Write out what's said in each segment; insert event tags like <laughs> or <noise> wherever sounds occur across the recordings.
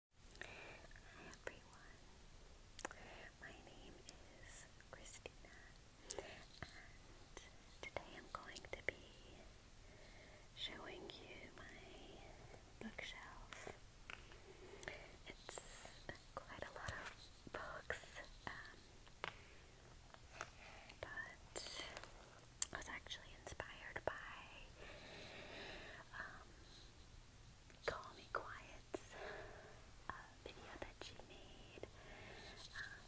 Hi everyone, my name is Christina and today I'm going to be showing you my bookshelf. It's quite a lot of books, um, but I was actually inspired by um, Call Me Quiet uh, video that she made um,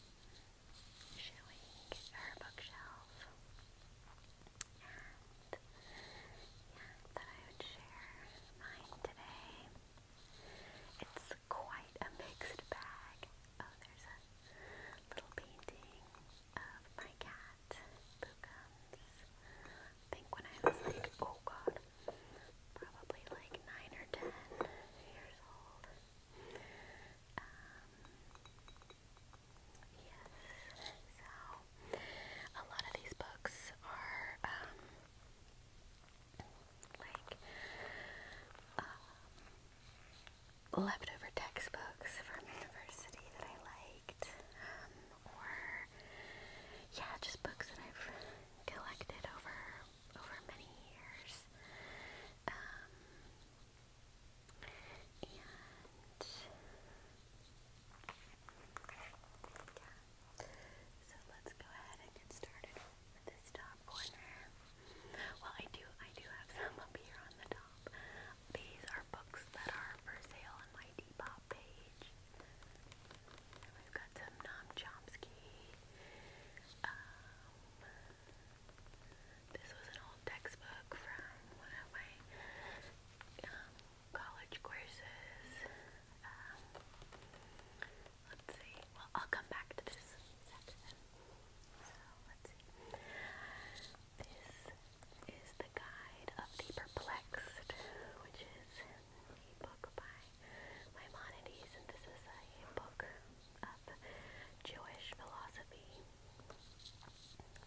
showing her bookshelf. yeah, that I would share mine today. It's quite a mixed bag. Oh, there's a little painting of my cat at Boucan's. I think when I was like, oh god, probably like 9 or 10 years old. Um, yes, so a lot of these books are, um, like, um, leftover textbooks from university that I like liked, um, or yeah, just books that I've collected over over many years. Um, and yeah, so let's go ahead and get started with this top corner. Well, I do, I do have some up here on the top. These are books that are for sale on my Depop page. And we've got some Noam Chomsky. Um, this was an old textbook from one of my um, college courses. Um, let's see. Well, I'll come back to this section. So, let's see. This is The Guide of the Perplexed, which is a book by Maimonides, and this is a book of Jewish philosophy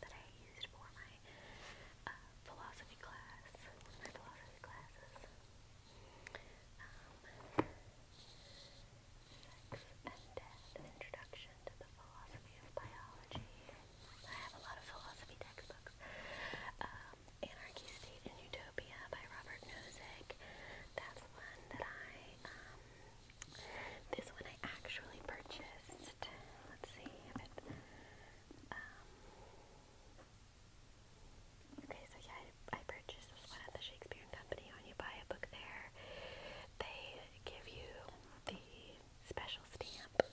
that I used for my uh, philosophy class, my philosophy classes. Um, sex and Death, Introduction to the Philosophy of Biology. I have a lot of philosophy textbooks. Um, Anarchy State and Utopia by Robert Nozick. That's one that I, um, this one I actually purchased. Let's see if it, um, okay, so yeah, I, I purchased this one at the Shakespeare and Company. When you buy a book there, they give you the special stamp.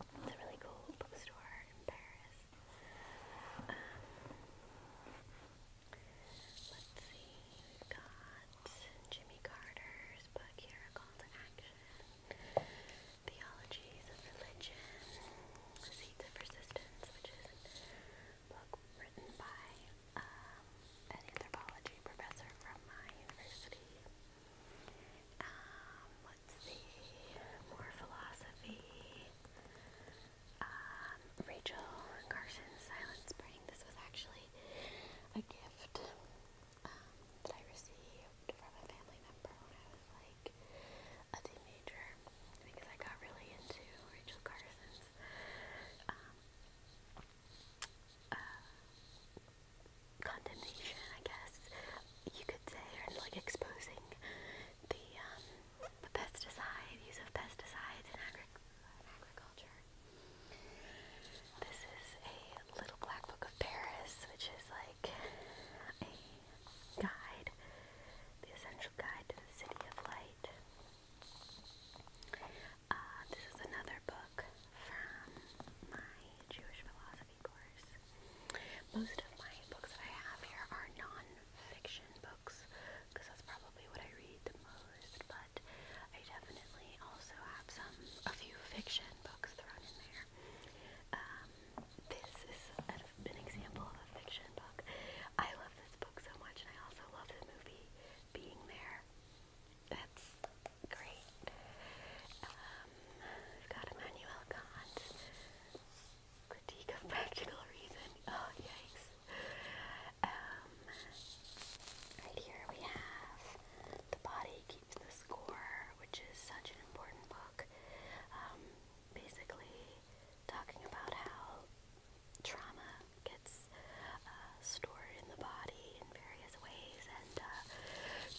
It's a really cool bookstore in Paris. Um, let's see, we've got Jimmy Carter's book here, A Call to Action, Theologies of Religion, Seeds of Persistence, which is a book written by um, an anthropology professor from my university. Um, let's see, more philosophy. Um, Rachel Carson's Silent Spring. This was actually a gift um, that I received from a family member when I was like a teenager because I got really into Rachel Carson's um, uh, condemnation, I guess you could say, or like exposing the um, the pesticide of pesticides in agriculture. This is a little black book of Paris, which is like a guide, the essential guide to the city of light. Uh, this is another book from my Jewish philosophy of course. Most of my books that I have here are non books because that's probably what I read the most, but I definitely also have some, a few fiction books thrown in there. Um, this is an example of a fiction book. I love this book so much and I also love the movie Being There. That's great. Um, we've got Immanuel Kant. Critique of Practical Reason. Oh, yikes. Um, right here we have The Body Keeps the Score, which is such an important book. Um, basically, talking about how trauma gets uh, stored in the body in various ways and uh,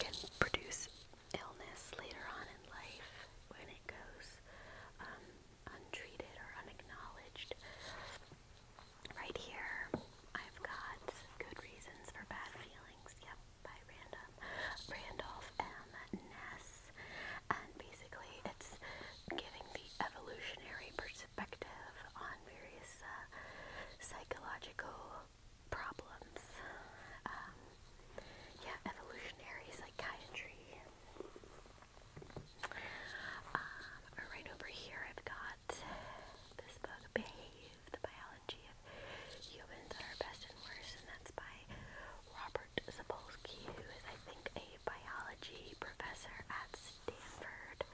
can produce illness later on in life when it goes um, untreated or unacknowledged. Right here, I've got good reasons for bad feelings. Yep, by Random Randolph M. Ness, and basically it's giving the evolutionary perspective on various uh, psychological problems. Um, yeah, evolutionary psychiatry. Um, right over here, I've got this book, Behave, The Biology of Humans Are Best and Worst, and that's by Robert Sapolsky, who is, I think, a biology professor at Stanford.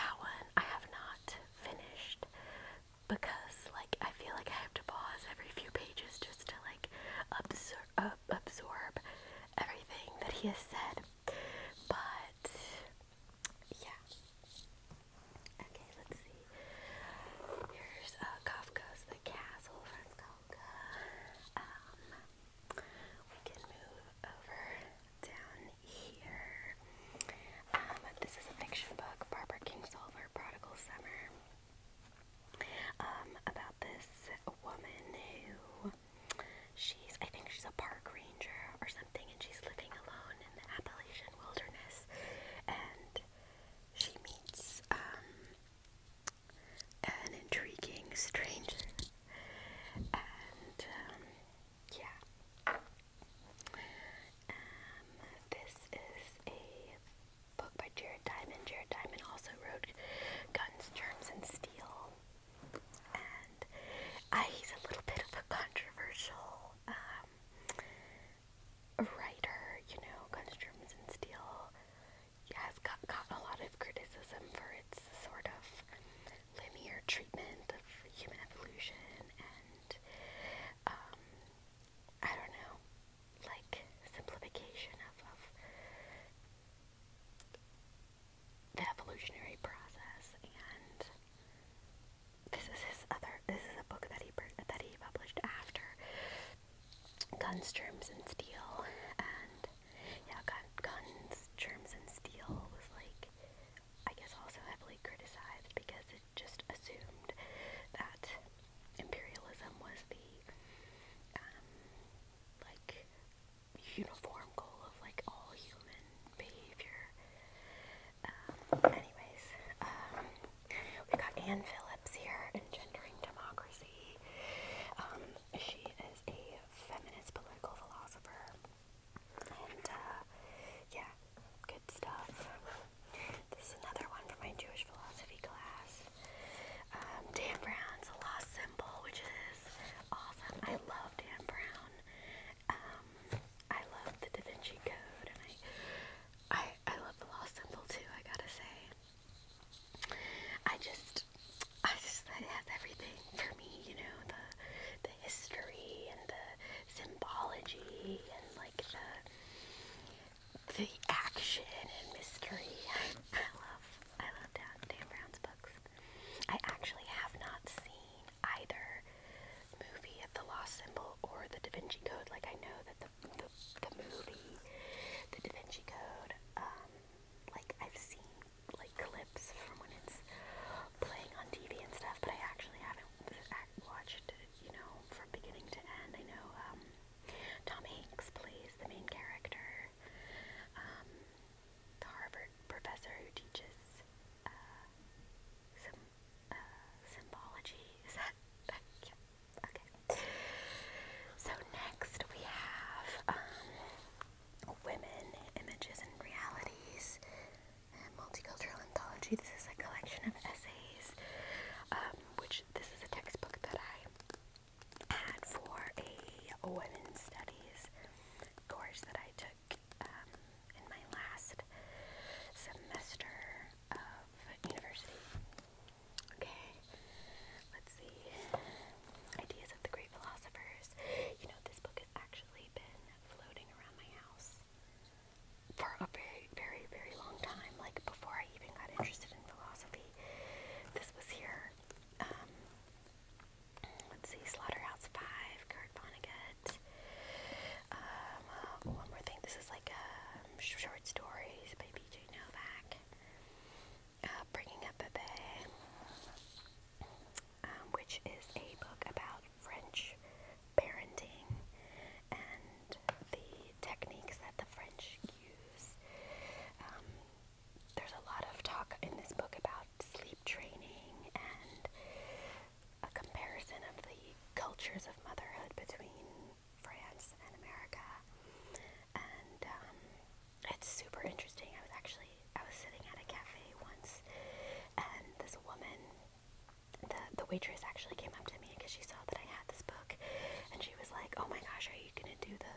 That one I have not finished, because like I feel like I have to pause every few pages just to like absor absorb everything that he has said. But yeah. Okay, let's see. Here's uh, Kafka's The Castle from Kafka. Um, we can move over down here. Um, this is a fiction book, Barbara Kingsolver, Prodigal Summer um, about this woman who she's, I think she's a park ranger or something, and she's living alone in the Appalachian wilderness, and she meets um, an intriguing stranger, and um, yeah. Um, this is a book by Jared Diamond. Jared Diamond also wrote Guns, Germs, and Steel. And uh, he's a little bit of a controversial um, writer, you know, Guns, Germs, and Steel has got, gotten a lot of criticism for its sort of linear treatment of human evolution and um, I don't know, like simplification of, the evolutionary process. And this is his other. This is a book that he that he published after Guns, Germs, and Steel. And yeah, gun, Guns, Germs, and Steel was like I guess also heavily criticized because it just assumed that imperialism was the um, like uniform goal of like all human behavior. Um, anyways, um, we got Anne Phillips here in Democracy. she is a feminist political philosopher, and uh, yeah, stuff. This is another one from my Jewish philosophy class. Um, Dan Brown's The Lost Symbol, which is awesome. I love Dan Brown. Um, I love the Da Vinci Code, and I, I, love The Lost Symbol too, I gotta say. I just, I just, that has everything for me, you know, the, the history and the symbology and like the, the action and mystery. I love I love Dan, Brown's books. I actually have not seen either movie of The Lost Symbol or The Da Vinci Code. Like I know that the the, movie, The Da Vinci Code, um, like I've seen like clips from when it's playing on TV and stuff, but I actually haven't uh, watched it, you know, from beginning to end. I know um, Tom Hanks plays the main character, um, the Harvard professor who teaches uh, some uh, symbology. Is that <laughs> okay? So next we have um, women, images, and realities. Uh, multicultural anthology. This is a collection of essays um, which this is a textbook that I had for a women's studies course that I took um, in my last semester of university. Okay, let's see. Ideas of the Great Philosophers. You know, this book has actually been floating around my house for a very, very, very long time, like before I even got interested in philosophy. This was here. Um, let's see, Slaughterhouse Five, Kurt Vonnegut. Um, uh, one more thing. This is like short stories by B.J. Novak. Uh, Bringing Up a Bay, um, which is a book about French parenting and the techniques that the French use. Um, there's a lot of talk in this book about sleep training and a comparison of the cultures of motherhood between France and America. And um, it's super interesting. I was actually I was sitting at a cafe once, and this woman the the waitress actually came up to me because she saw that I had this book, and she was like, "Oh my gosh, are you gonna do the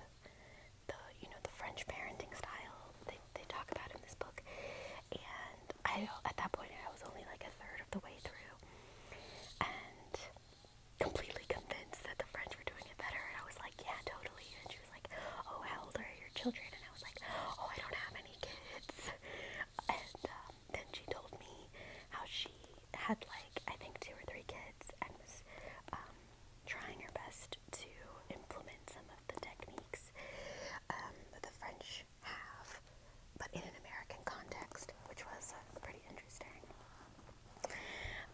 the you know the French parenting style they they talk about in this book?" And I at that point I was only like a third of the way through, and completely convinced that the French were doing it better, and I was like, "Yeah, totally." And she was like, "Oh, how old are your children?" And I was like, "Oh, I don't have any kids." And um, then she told me how she had like I think two or three kids and was um, trying her best to implement some of the techniques um, that the French have, but in an American context, which was uh, pretty interesting.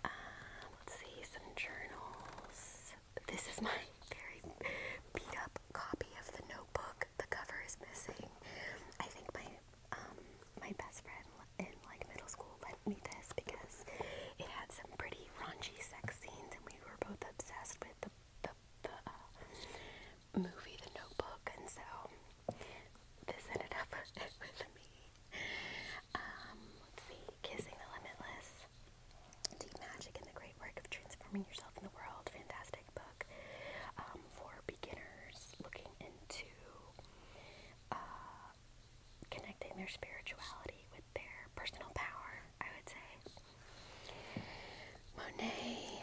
Um, let's see some journals. This is my very beat up copy of the Notebook. The cover is missing. I think my my best friend in like middle school lent me this because it had some pretty raunchy sex scenes, and we were both obsessed with the the, the uh, movie The Notebook, and so this ended up <laughs> with me. Um, let's see, Kissing the Limitless, Deep Magic, and the Great Work of Transforming Yourself in the World, fantastic book um, for beginners looking into uh, connecting their spirituality with their personal power, I would say. Monet,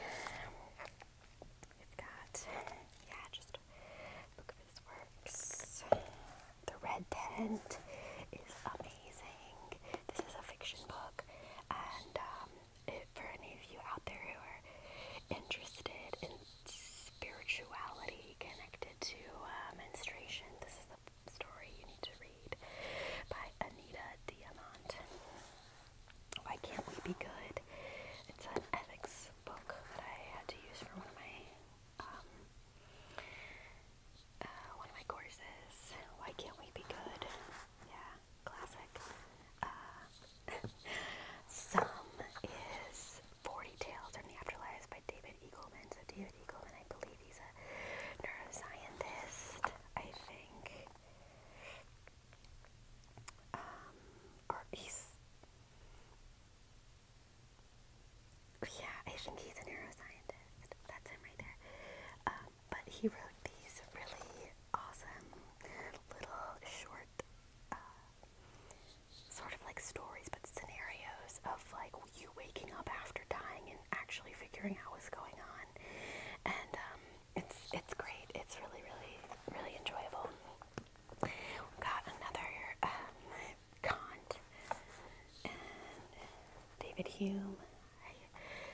we've got, yeah, just a book his works. The Red Tent is amazing. This is a fiction book, and um, for any of you out there who are interested in spirituality connected to uh, menstruation, this is the story you need to read by Anita Diamant. Why Can't We Be Good? It's an ethics book that I had to use for one of my um, uh, one of my courses. Why Can't We Be Good? Yeah, classic. Uh, some is 40 Tales from the Afterlife by David Eagleman. So, David Eagleman, I believe he's a neuroscientist, I think. Um, or he's. Yeah, I think he's a neuroscientist. That's him right there. Um, but he wrote these really awesome little short uh, sort of like stories but scenarios of like you waking up after dying and actually figuring out what's going on and um, it's it's great it's really really really enjoyable got another um, and David Hume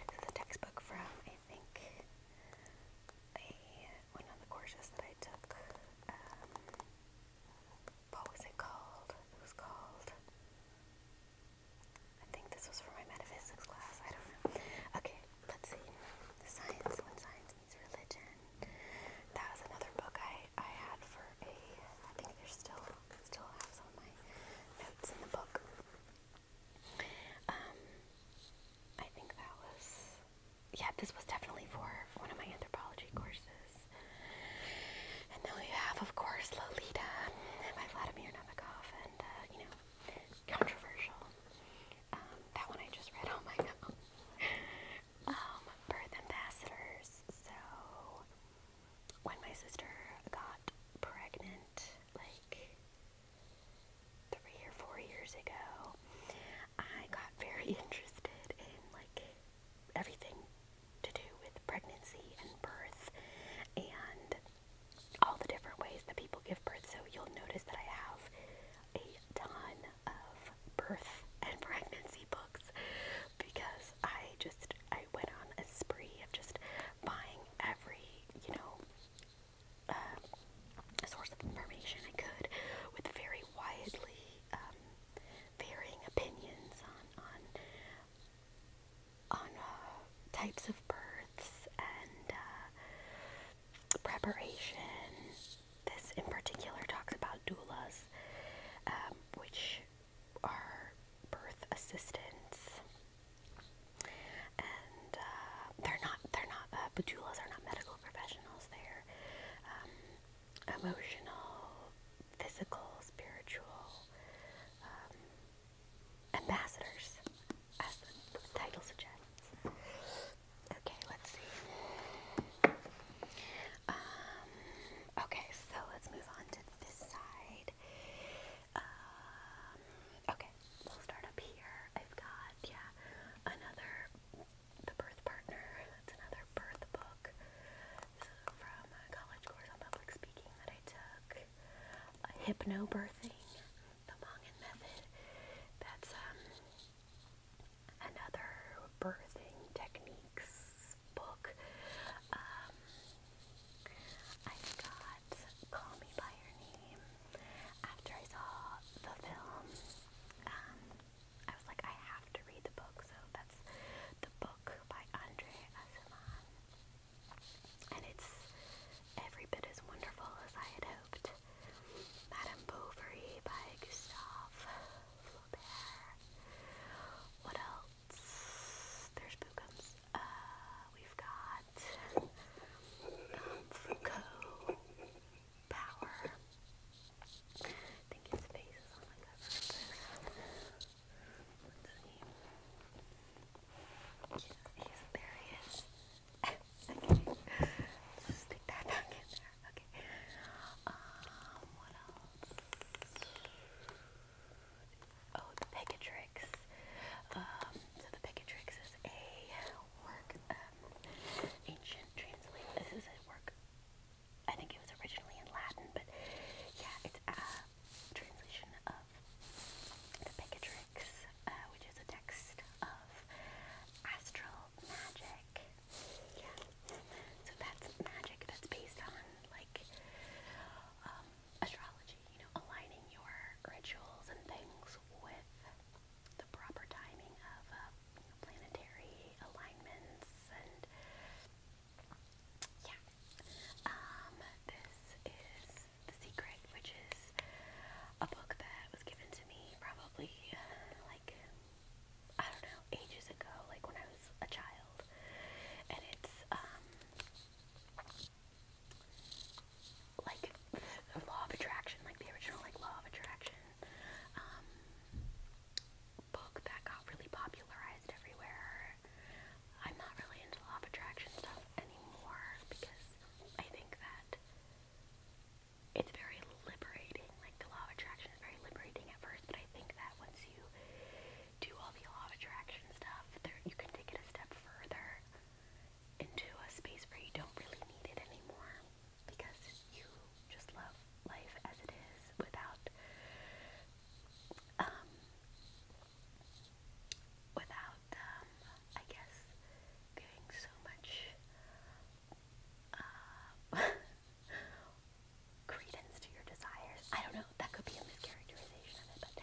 this is a textbook from I think a one of the courses that I took, um, what was it called? It was called, I think this was for my metaphysics class, I don't know. Okay, let's see. Science, when science meets religion. That was another book I, I had for a, I think there's still, still have some of my notes in the book. Um, I think that was yeah, this was definitely for one of my anthropology courses. And then we have, of course, Lolita by Vladimir Nabokov, and uh, you know, controversial. Um, that one I just read on my own. <laughs> um, Birth Ambassadors. So, when my sister got pregnant, like three or four years ago, school, I got very <laughs> interested in like everything to do with pregnancy and birth and all the different ways that people give birth. So you'll notice that I have a ton of birth and <laughs> pregnancy books because I just I went on a spree of just buying every, you know, uh, source of information I could with very widely um, varying opinions on on on uh, types of births and uh, preparation. This in particular talks about doulas, um, which are birth assistants, and uh, they're not they're not uh, doulas are not medical professionals there, um, emotional, physical, spiritual um, ambassadors, as the, title suggests. Okay, let's see. Um, okay, so let's move on to this side. okay, we'll start up here. I've got, yeah, another the Birth Partner, that's another birth book this is from a college course on public speaking that I took. Uh, hypnobirthing, the Mongan method, that's um, another birthing techniques book. Um, I got Call Me By Your Name after I saw the film. Um, I was like, I have to read the book, so that's the book by Andre Asimov. And it's every bit as wonderful as I had hoped. Madame Bovary by Gustave Flaubert. What else? There's Bookums. Uh, we've got um, power. I think his face is on the cover of this. let there he is. <laughs> stick that back in there. Okay. Um, what else? Oh, the Pegatrix. Um, so the Pegatrix is a work, um, ancient translation. This is a work I think it was originally in Latin, but yeah, it's a translation of the Picatrix, uh, which is a text of astral magic. Yeah, so that's magic that's based on like um, astrology, you know, aligning your rituals and things with the proper timing of um, you know, planetary alignments and yeah. Um, this is The Secret, which is a book that was given to me probably uh, like I don't know, ages ago, like when I was a child. And it's um like the <laughs> law of attraction, like the original like law of attraction um, book that got really popularized everywhere. I'm not really into law of attraction stuff anymore because I think that it's very liberating. Like the law of attraction is very liberating at first, but I think that once you do all the law of attraction stuff, there you can take it a step further into a space where you don't really need it anymore because you just love life as it is without um without um, I guess doing so much uh, <laughs> credence to your desires. I don't know, that could be a mischaracterization of it,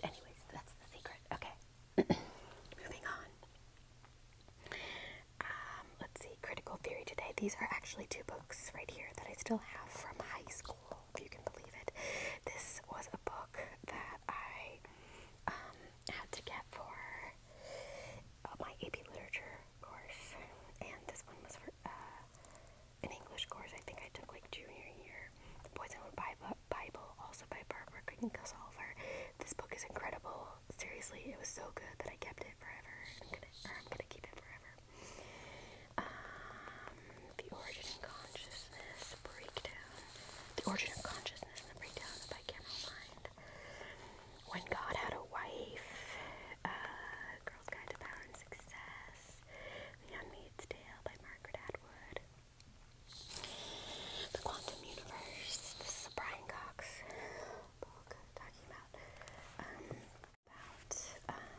but anyways, that's the secret. Okay. <clears throat> Moving on. Um, let's see, Critical Theory Today. These are actually two books right here that I still have from high school, if you can believe it. This was a book that I um, had to get for uh, my AP Literature course, and this one was for uh, an English course I think I took like junior year. The Poisonwood Bible, Bible, also by Barbara Crichton This book is incredible. Seriously, it was so good that I kept it forever. I'm gonna, keep it forever. Um, the origin of consciousness breakdown. The origin of consciousness and the breakdown of I mind. When God had a wife. Girl's Guide to Power Success. The Handmaid's Tale by Margaret Atwood. The Quantum Universe. This Brian Cox talking about. Um, about, uh,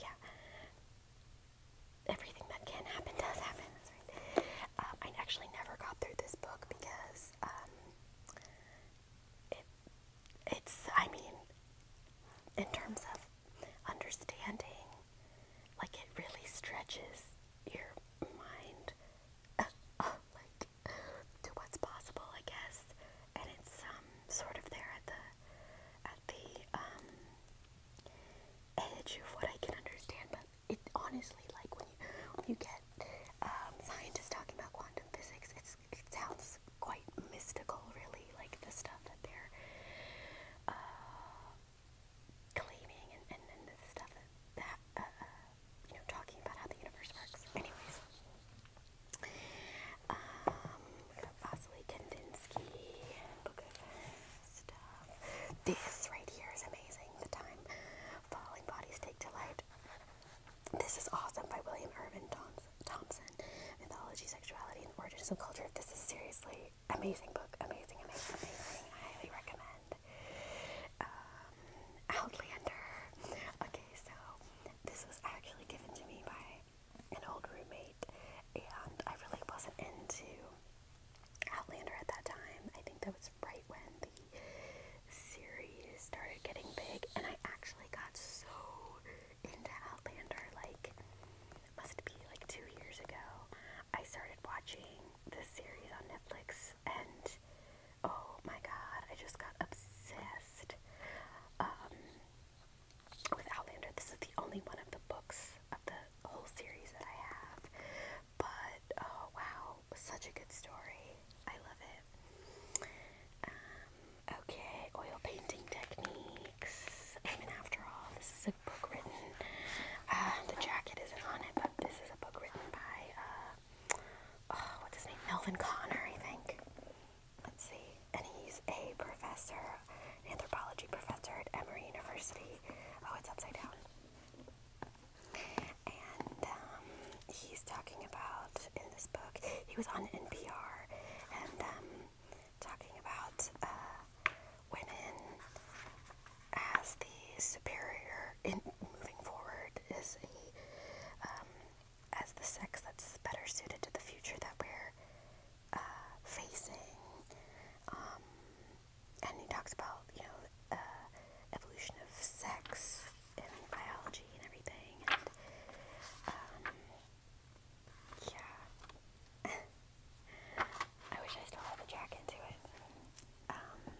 yeah, everything that can happen does happen. Um, I actually never got through this book because um, it, it's, I mean, in terms of understanding, like it really stretches your mind, <laughs> like to what's possible, I guess. And it's um sort of there at the at the um edge of what I can understand, but it honestly like when you when you get um scientists talking about quantum physics, it's it sounds quite mystical really, like the stuff that they're uh claiming and, and, and the stuff that, that uh, uh, you know, talking about how the universe works. Anyways, um, Vasily Kandinsky uh, This right here is amazing. The time falling bodies take delight. This is awesome by William Irvin Thompson. Mythology, sexuality, and origins of culture. This is seriously amazing book. Amazing, amazing, amazing. I highly recommend. Uh, Outlander. Okay, so this was actually given to me by an old roommate, and I really wasn't into Outlander at that time. I think that was right when the series started getting big, and I actually got so into Outlander like must be like two years ago. I started watching this series on Netflix, and Oh my god, I just got obsessed um, with Outlander. This is the only one of the books of the whole series that I have. But oh wow, such a good story. I love it. Um, okay, oil painting techniques. I mean, after all, this is a book written. Uh, the jacket isn't on it, but this is a book written by uh, Oh, what's his name? Melvin Connor, I think. Let's see. And he's a professor, anthropology professor at Emory University. Oh, it's upside down. And um, he's talking about in this book, he was on NPR and um, talking about uh, women as the superior in moving forward is a um, as the sex that's better suited to the future that we're uh, facing. Um, and he talks about, you know, uh, evolution of sex and biology and everything. And, um, yeah. <laughs> I wish I still had the jacket to it. Um,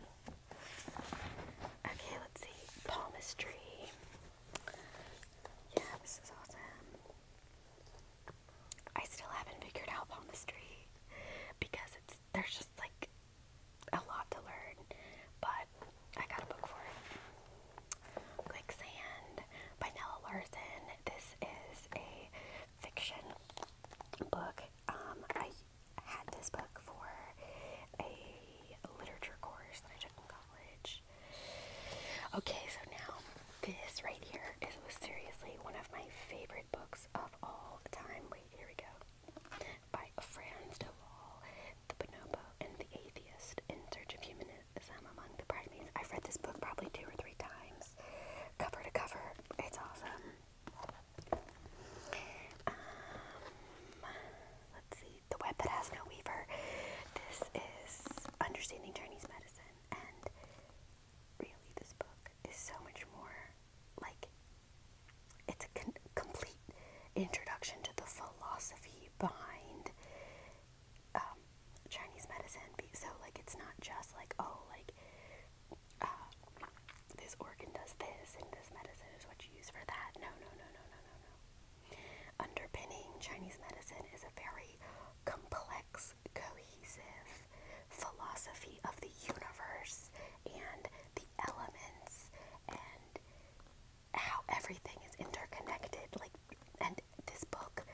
Okay, let's see. Palmistry. Yeah, this is awesome. I still haven't figured out palmistry because it's there's just like a lot to learn, but I got a book for it. Quicksand by Nella Larson. This is a fiction book. Um, I had this book for a literature course that I took in college. Okay, so now this right here is seriously one of my favorite books of all time. Wait, here we go. By Franz de Waal, The Bonobo and the Atheist in Search of Humanism Among the Primates. I've read this book probably two or three times, cover to cover. It's awesome. Um, let's see the web that has no weaver. This is Understanding Chinese Medicine, and really, this book is so much more like it's a complete introduction to the philosophy behind um, Chinese medicine. So, like, it's not just like, oh, like, uh, this organ does this, and this medicine is what you use for that. No, no, no, no, no, no, no. Underpinning Chinese medicine is a very complex, cohesive philosophy of the universe and the elements and how everything is interconnected. Like, and this book,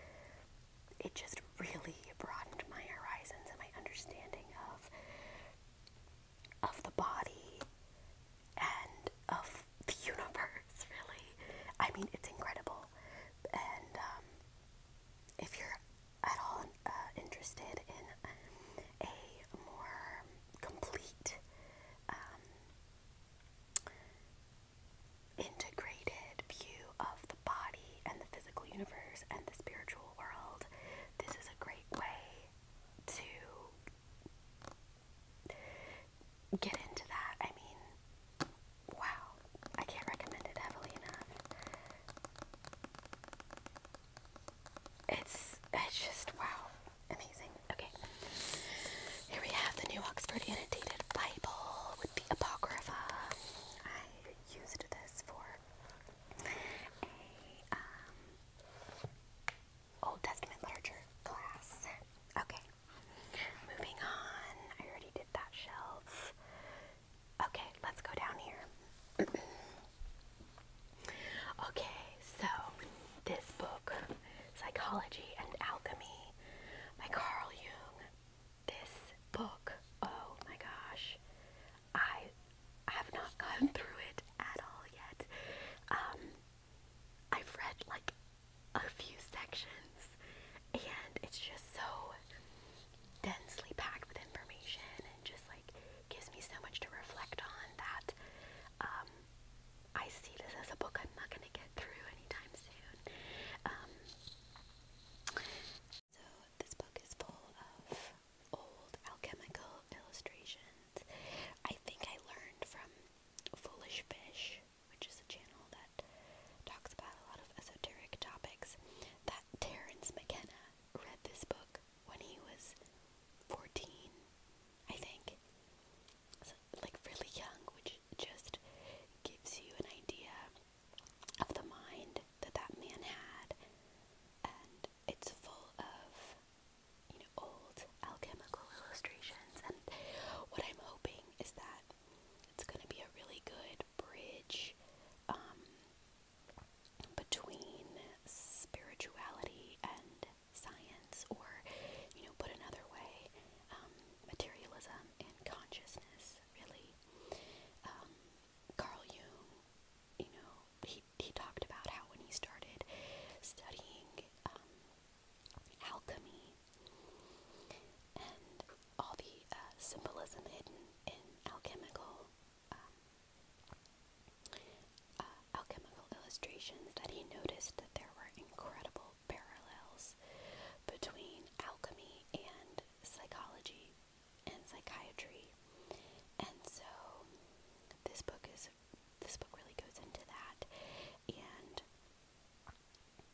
it just really broadened my horizons and my understanding of of the body and of the <laughs> universe, really. I mean, it's incredible. And um, if you're at all uh, interested in a more complete, um, integrated view of the body and the physical universe and the spiritual world, this is a great way to get into that. I mean, wow, I can't recommend it heavily enough. It's it's just wow, amazing. Okay, here we have the New Oxford Annotated Bible with the Apocrypha. I used this for a um, Old Testament literature class. Okay, moving on. I already did that shelf. Okay, let's go down here. <clears throat> okay, so this book, Psychology and Alchemy by Carl Jung. This book, oh my gosh, I have not gone <laughs> through it at all yet. Um, I've read like a few sections, and it's just so densely packed with information, and just like gives me so much to reflect on that um, I see this as a book I'm not gonna get through anytime soon. Um, so this book is full of old alchemical illustrations I think I learned from Foolish Fish, which is a channel that talks about a lot of esoteric topics, that Terrence McKenna read this book when he was 14, I think. So, like really young, which just gives you an idea of the mind that that man had. And it's full of you know, old alchemical illustrations, and what I'm hoping is that it's going to be a really good bridge um, between spirituality and science, or, you know, put another way, um, materialism and consciousness, really. Um, Carl Jung, you know, he, he talked about how when he started studying um, alchemy, and all the uh, symbolism hidden in alchemical uh, uh, alchemical illustrations that he noticed that there were incredible parallels between alchemy and psychology and psychiatry. And so this book is this book really goes into that and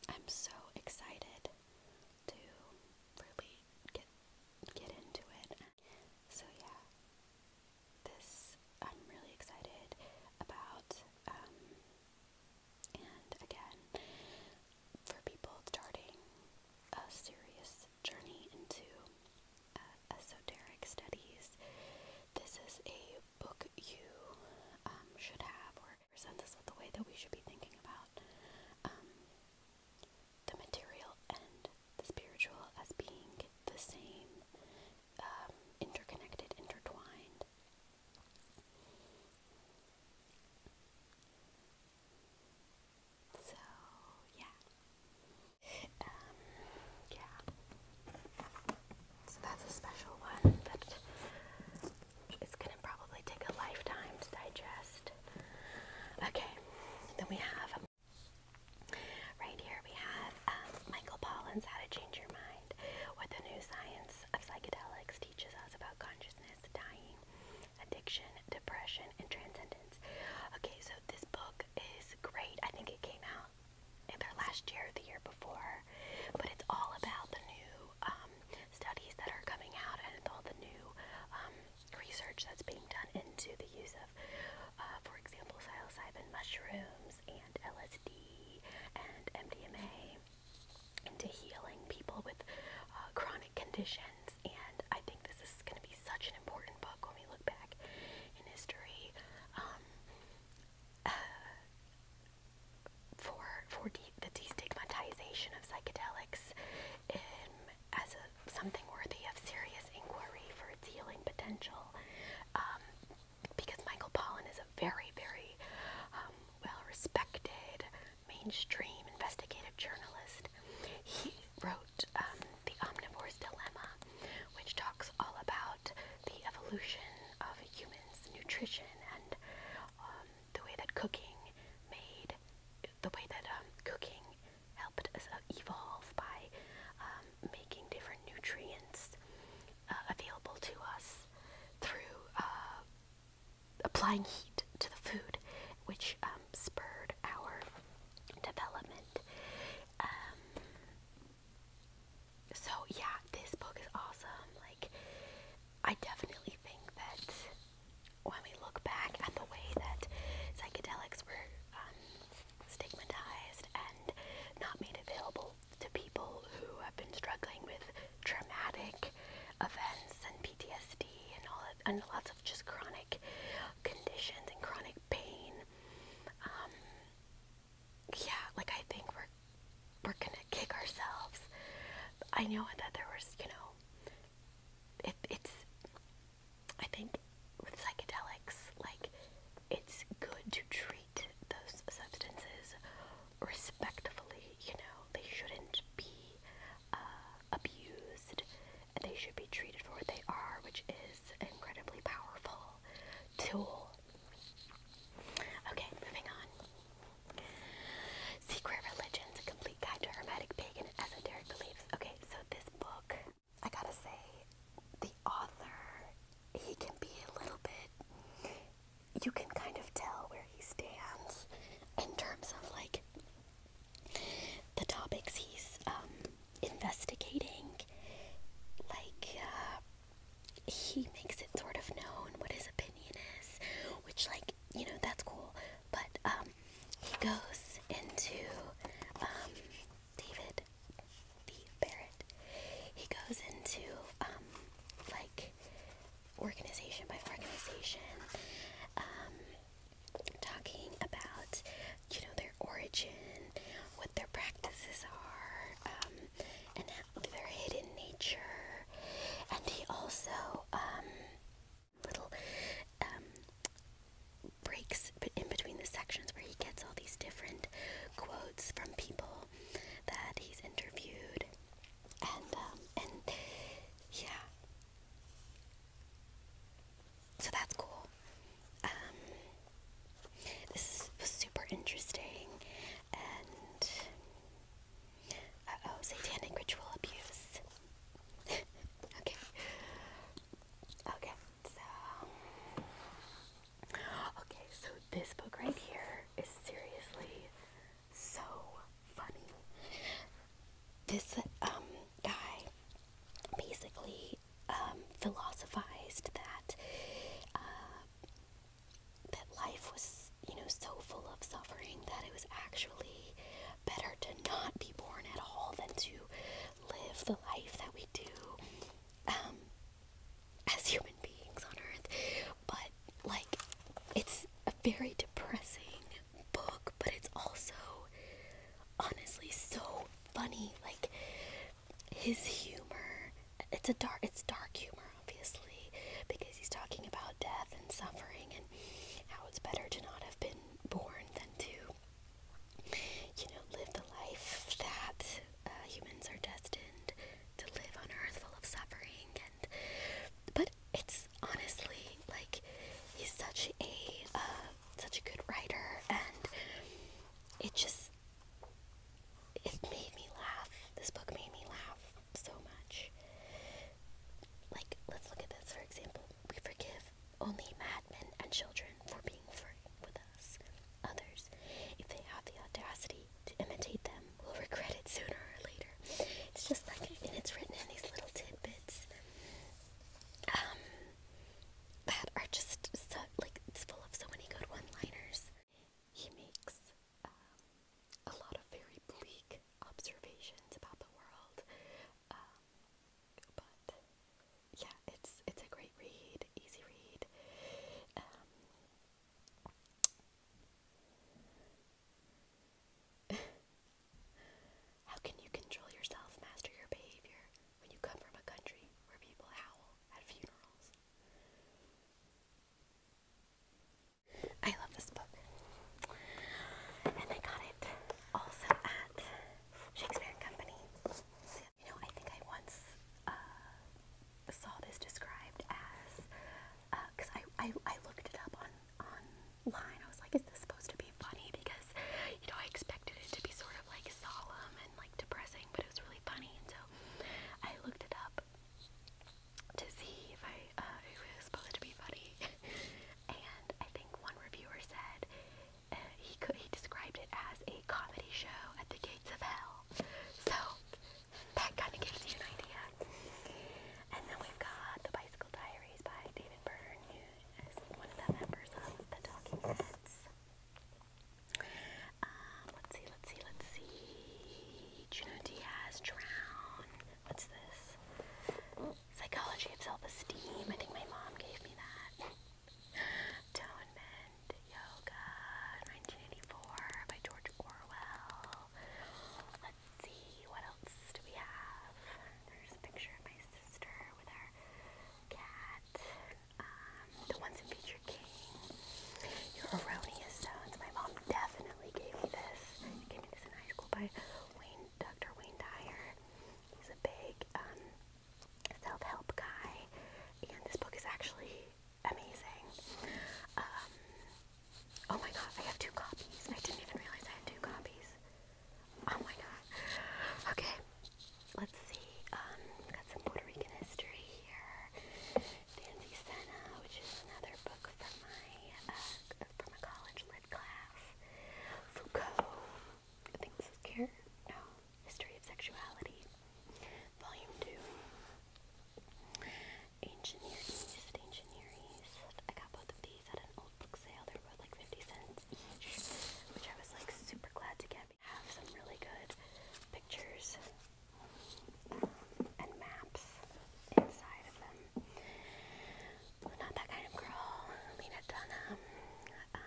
I'm so excited to really get get into it. So yeah. This I'm really excited about um, and again for people starting a serious journey into uh, esoteric studies this is a book you um, should have, or present this with the way that we should be thinking about um, the material and the spiritual as being the same, um, interconnected, intertwined. So, yeah. yeah. So that's a special one but it's going to probably take a lifetime to digest. Okay, then we have right here we have um, Michael Pollan's How to Change Your Mind, What the New Science of Psychedelics Teaches Us About Consciousness, Dying, Addiction, Depression, and Transcendence. Okay, so this book is great. I think it came out either last year or the year before. But it's all about the new um, studies that are coming out and all the new um, research that's being done into the use of, uh, for example, psilocybin mushrooms and LSD and MDMA into healing people with uh, chronic conditions. And I think this is going to be such an important book when we look back in history. Um, uh, <sighs> for for de the destigmatization of psychedelics as something worthy of serious inquiry for its healing potential, um, because Michael Pollan is a very very um, well respected mainstream investigative journalist. He wrote um, the Omnivore's Dilemma, which talks all about the evolution of humans' nutrition and um, the way that cooking made the way that um, cooking helped us uh, evolve by um, making different nutrients uh, available to us through uh, applying heat to the food, which spurred our development so yeah, this book is awesome. Like, I definitely think that when we look back at the way that psychedelics were um, stigmatized and not made available to people who have been struggling with traumatic events and PTSD and all and lots of just chronic conditions and chronic pain. Um, yeah, like I think we're we're gonna kick ourselves. I know that there was, you know, it, it's. I think with psychedelics, like it's good to treat those substances respectfully. You know, they shouldn't be uh, abused, and they should be treated for what they are, which is an incredibly powerful tool Okay, moving on. Secret Religions, a complete guide to hermetic pagan esoteric beliefs. Okay, so this book, I gotta say, the author, he can be a little bit, you can kind of tell where he stands in terms of like the topics he's um, investigating. Like, uh, he makes it sort of known what his opinion is, which, like, you know, that's cool. But um, he goes into um, David the Barrett. He goes into um, like organization by organization, um, talking about you know their origin, what their practices are. Um, and their hidden nature. And he also um, little um, breaks in between the sections where he gets all these different quotes from people that he's interviewed, and um, and yeah, so that's cool. Um, this was super interesting and oh, satanic ritual abuse. <laughs> okay, okay, so okay, so this book right here is seriously so funny. This um guy basically um philosophized that. Uh, that life was, you know, so full of suffering that it was actually better to not be born at all than to live the life that we do um, as human beings on earth. But, like, it's a very depressing book, but it's also honestly so funny. Like, his humor it's a dark it's dark humor obviously because he's talking about death and suffering and how it's better to not have been born than to you know live the life that uh, humans are destined to live on earth full of suffering and but it's honestly like he's such a uh, such a good writer and it just it made me laugh. This book made me laugh so much. Like, let's look at this for example. We forgive only madmen and children for being free with us. Others, if they have the audacity to imitate them, will regret it sooner or later. It's just like, and it's written in these little tidbits um, that are just so, like, it's full of so many good one liners. He makes um, a lot of very bleak observations about the world, um, but yeah, it's it's a great read, easy read. Um, <laughs> how can you control yourself, master your behavior, when you come from a country where people howl at funerals? I love this book. And I got it also at Shakespeare and Company. You know, I think I once uh, saw this described as, because uh, I, I, I looked it up on online. I was like, is this supposed to be funny? Because, you know, I expected it to be sort of like solemn and like depressing, but it was really funny. And so I looked it up to see if I uh, it was supposed to be funny, <laughs> and I think one reviewer said uh, he could he described it as a comedy show at the gates of hell. So that kind of gives you an idea. And then we've got the Bicycle Diaries by David Byrne, who is one of the members of the Talking Heads. Um, let's see, let's see, let's see. Juno Diaz, Drown. What's this? Psychology of Self-Esteem. I think my mom gave me that. Atonement, Yoga, 1984 by George Orwell. Let's see, what else do we have? There's a picture of my sister with our cat. Um, the ones in feature King. Your erroneous sounds. My mom definitely gave me this. She gave me this in high school by Wayne, Dr. Wayne Dyer. He's a big um, self-help guy, and this book is actually amazing. Um, oh my god, I have two copies. I didn't even realize I had two copies. Oh my god. Okay, let's see. Um, got some Puerto Rican history here. Fancy Senna, which is another book from my uh, from a college lit class. Foucault, I think this is Care. No, History of Sexuality, Volume Two. Ancient Near East, Ancient Near East. I got both of these at an old book sale. They're like fifty cents each, which I was like super glad to get. I have some really good pictures and maps inside of them. not that kind of girl. Lena Dunham. Um,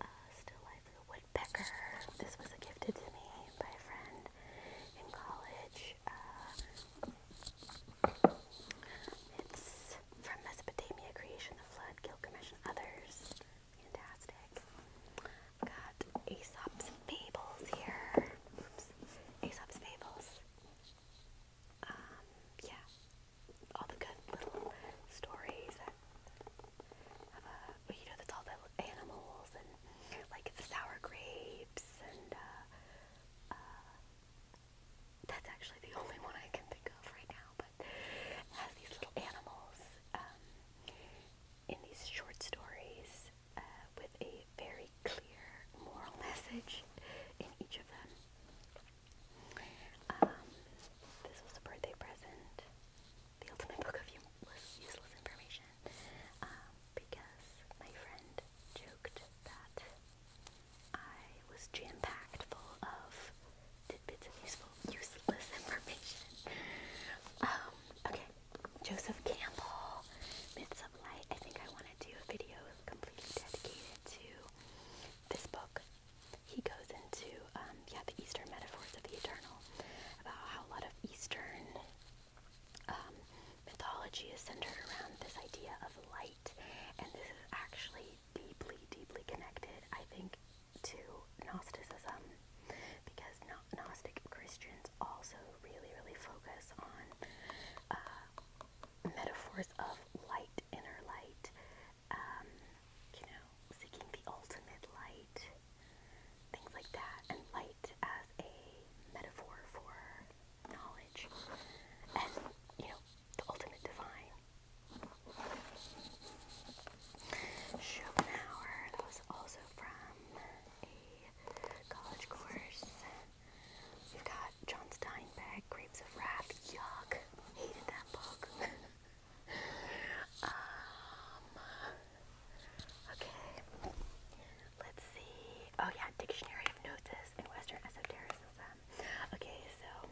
uh, Still Life of the Woodpecker. This was gifted to me by a friend in college. Um, it's from Mesopotamia, Creation, The Flood, Gilgamesh, and Others. Fantastic. Got Aesop's Fables here. Aesop's Fables. Um, yeah. All the good little stories you know, that's all the animals and like the sour grapes and, uh, uh, that's actually the only one I can think of right now, but has these little animals, um, in these short stories uh, with a very clear moral <laughs> message in each of them. Um, this was a birthday present. The ultimate book of useless, information, um, because my friend joked that I was jam packed full of tidbits of useful, useless information. Um, okay, Joseph Campbell, Myths of Light. I think I want to do a video completely dedicated to this book. He goes into, um, yeah, the Eastern metaphors of the eternal, about how a lot of Eastern um, mythology is centered around this idea of light, and this is actually deeply, deeply connected, I think, to Gnosticism because Gnostic Christians also really, really focus on uh, metaphors of light, inner light, um, you know, seeking the ultimate light, things like that, and light as a metaphor for knowledge and, you know, the ultimate divine. Schopenhauer, that was also from a college course. We've got John Steinbeck, Grapes of Wrath. Yuck, hated that book. <laughs> Um, okay, let's see. Oh yeah, Dictionary of Notice in Western Esotericism. Okay, so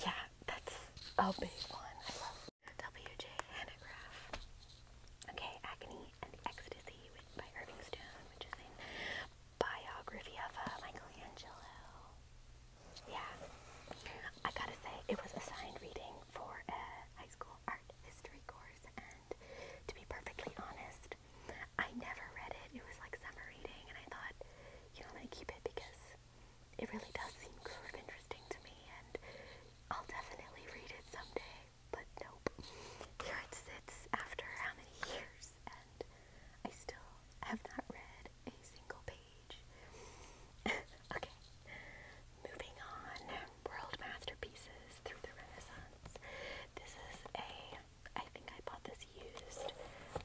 yeah, that's a big one. W.J. Hanegraaff. Okay, Agony and Ecstasy by Irving Stone, which is a biography of uh, Michelangelo. Yeah, I gotta say, it was assigned reading for a high school art history course, and to be perfectly honest, I never read it. It was like summer reading, and I thought, you know, I'm keep it because it really does seem kind of interesting to me, and I'll definitely read it someday. But nope, here it sits after how many years, and I still have not read a single page. <laughs> okay, moving on. World Masterpieces Through the Renaissance. This is a, I think I bought this used.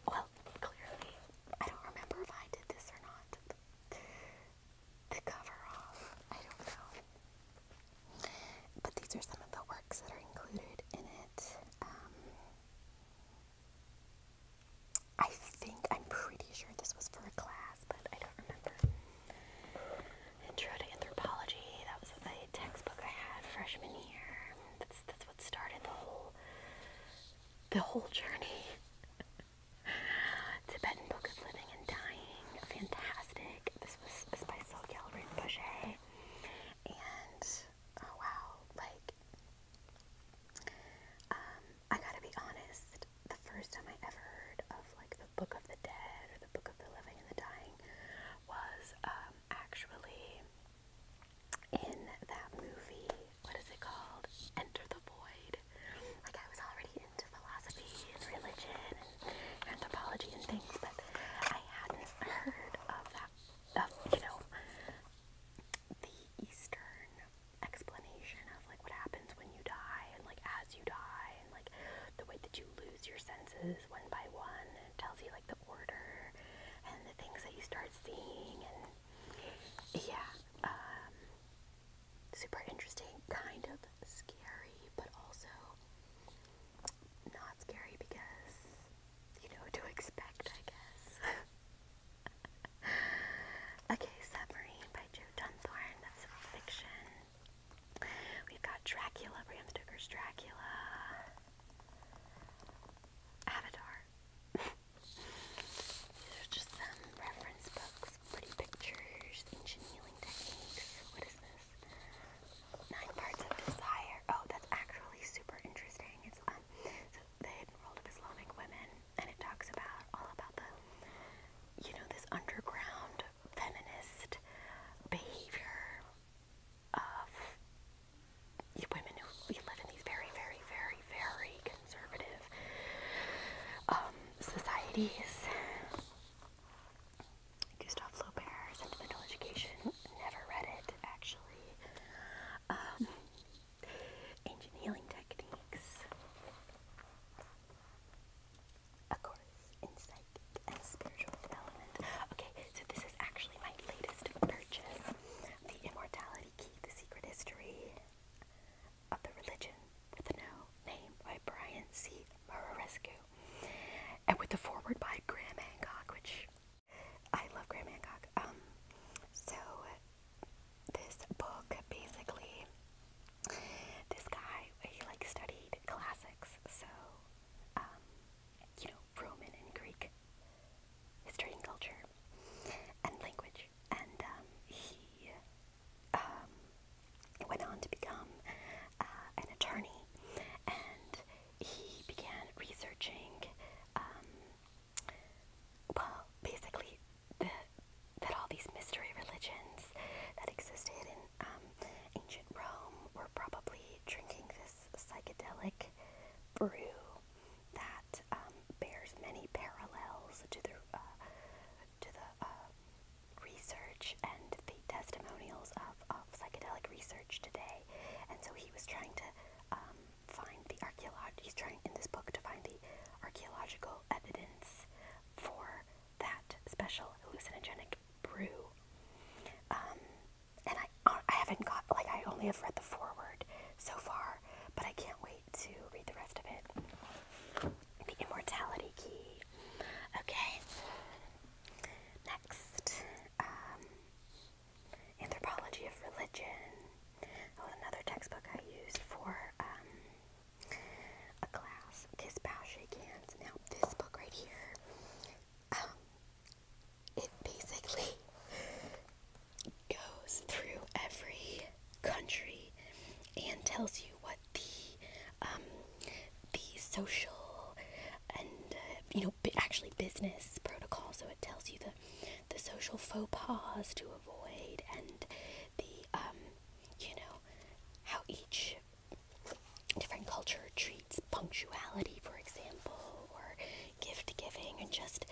Well, clearly, I don't remember if I did this or not the cover off. I don't know. But these are some of the works that are included in it. Um, I think, I'm pretty sure this was for a class, but I don't remember. Intro to Anthropology, that was the textbook I had freshman year. That's, that's what started the whole, the whole journey. Tibetan Book of Living and Dying. Fantastic. This was this by Sylvia Rinpoche. And, oh wow, like, um, I gotta be honest, the first time I ever heard of, like, the Book of the Dead or the Book of the Living and the Dying was, um, actually in that movie, what is it called? Enter the Void. Like I was already into philosophy and religion and anthropology and things, but I hadn't heard of that. Of you know, the Eastern explanation of like what happens when you die and like as you die and like the way that you lose your senses one by one. And it tells you like the order and the things that you start seeing and yeah. Um, super interesting, kind of scary, but also not scary because you know to expect, I guess. <laughs> okay, Submarine by Joe Dunthorne. That's a fiction. We've got Dracula, Bram Stoker's Dracula. Avatar. <laughs> These are just some reference books pretty pictures, ancient healing techniques. What is this? Nine parts of desire. Oh, that's actually super interesting. It's um, the hidden world of Islamic women, and it talks about all about the, you know, this underground feminist behavior of women who live in these very, very, very, very conservative um, societies. Gustave Flaubert, Sentimental Education, never read it actually. ancient um, healing techniques. A course in and spiritual development. Okay, so this is actually my latest purchase The Immortality Key, The Secret History of the Religion with No Name by Brian C. Murarescu, and with the foreword by Graham Hancock, which I love Graham Hancock. Um, so this book basically, this guy he like studied classics, so um, you know Roman and Greek history and culture and language, and um, he um, went on to become uh, an attorney, and he began researching, um, well, basically that all these mystery religions that existed in um, ancient Rome were probably drinking this psychedelic brew that um, bears many parallels to the uh, to the uh, research and the testimonials of, of psychedelic research today, and so he was trying to um, find the archaeolog. He's trying in this book to find the archaeological evidence for that special hallucinogenic brew. Um, and I, I haven't got like I only have read the foreword so far, but I can't wait to read the rest of it. The immortality key. Okay. Next, um, anthropology of religion. That oh, another textbook I used for um, a class. Kiss, bow, shake hands. Now, this book right here, um, it basically <laughs> goes through every country and tells you what the um, the social and uh, you know actually business protocol. So it tells you the the social faux pas to avoid and the um, you know how each different culture treats punctuality, for example, or gift giving, and just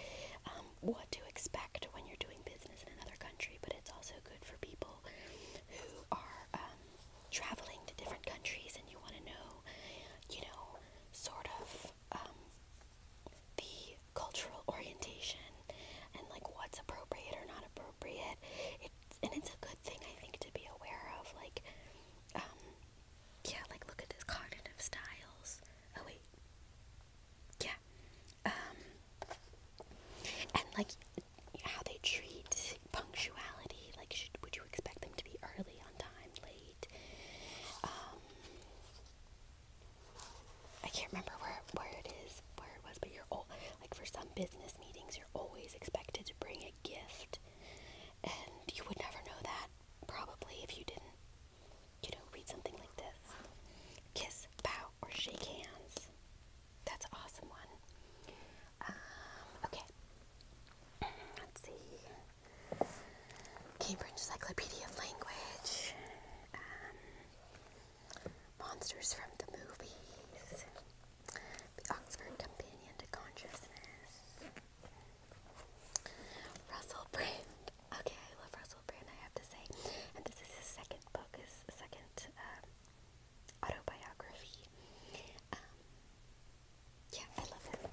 um, what to expect when you're doing business in another country. But it's also good for people who are um, traveling to different countries and you want to know, you know, sort of um, the cultural orientation and like what's appropriate or not appropriate. It's, and it's a good thing, I think, to be aware of. Like, um, yeah, like look at this cognitive styles. Oh, wait yeah um, and like how they treat punctuality like would you expect them to be early on time late um, I can't remember where where it is where it was but you're all like for some business meetings you're always expected to bring a gift and you would never know that probably if you didn't you know read something like this kiss bow or shake hands that's an awesome one. Um, okay. Let's see. Cambridge Encyclopedia of Language. Um, monsters from the movies. The Oxford Companion to Consciousness. Russell Brand. Okay, I love Russell Brand, I have to say. And this is his second book, his second um, autobiography. Um, yeah, I love him.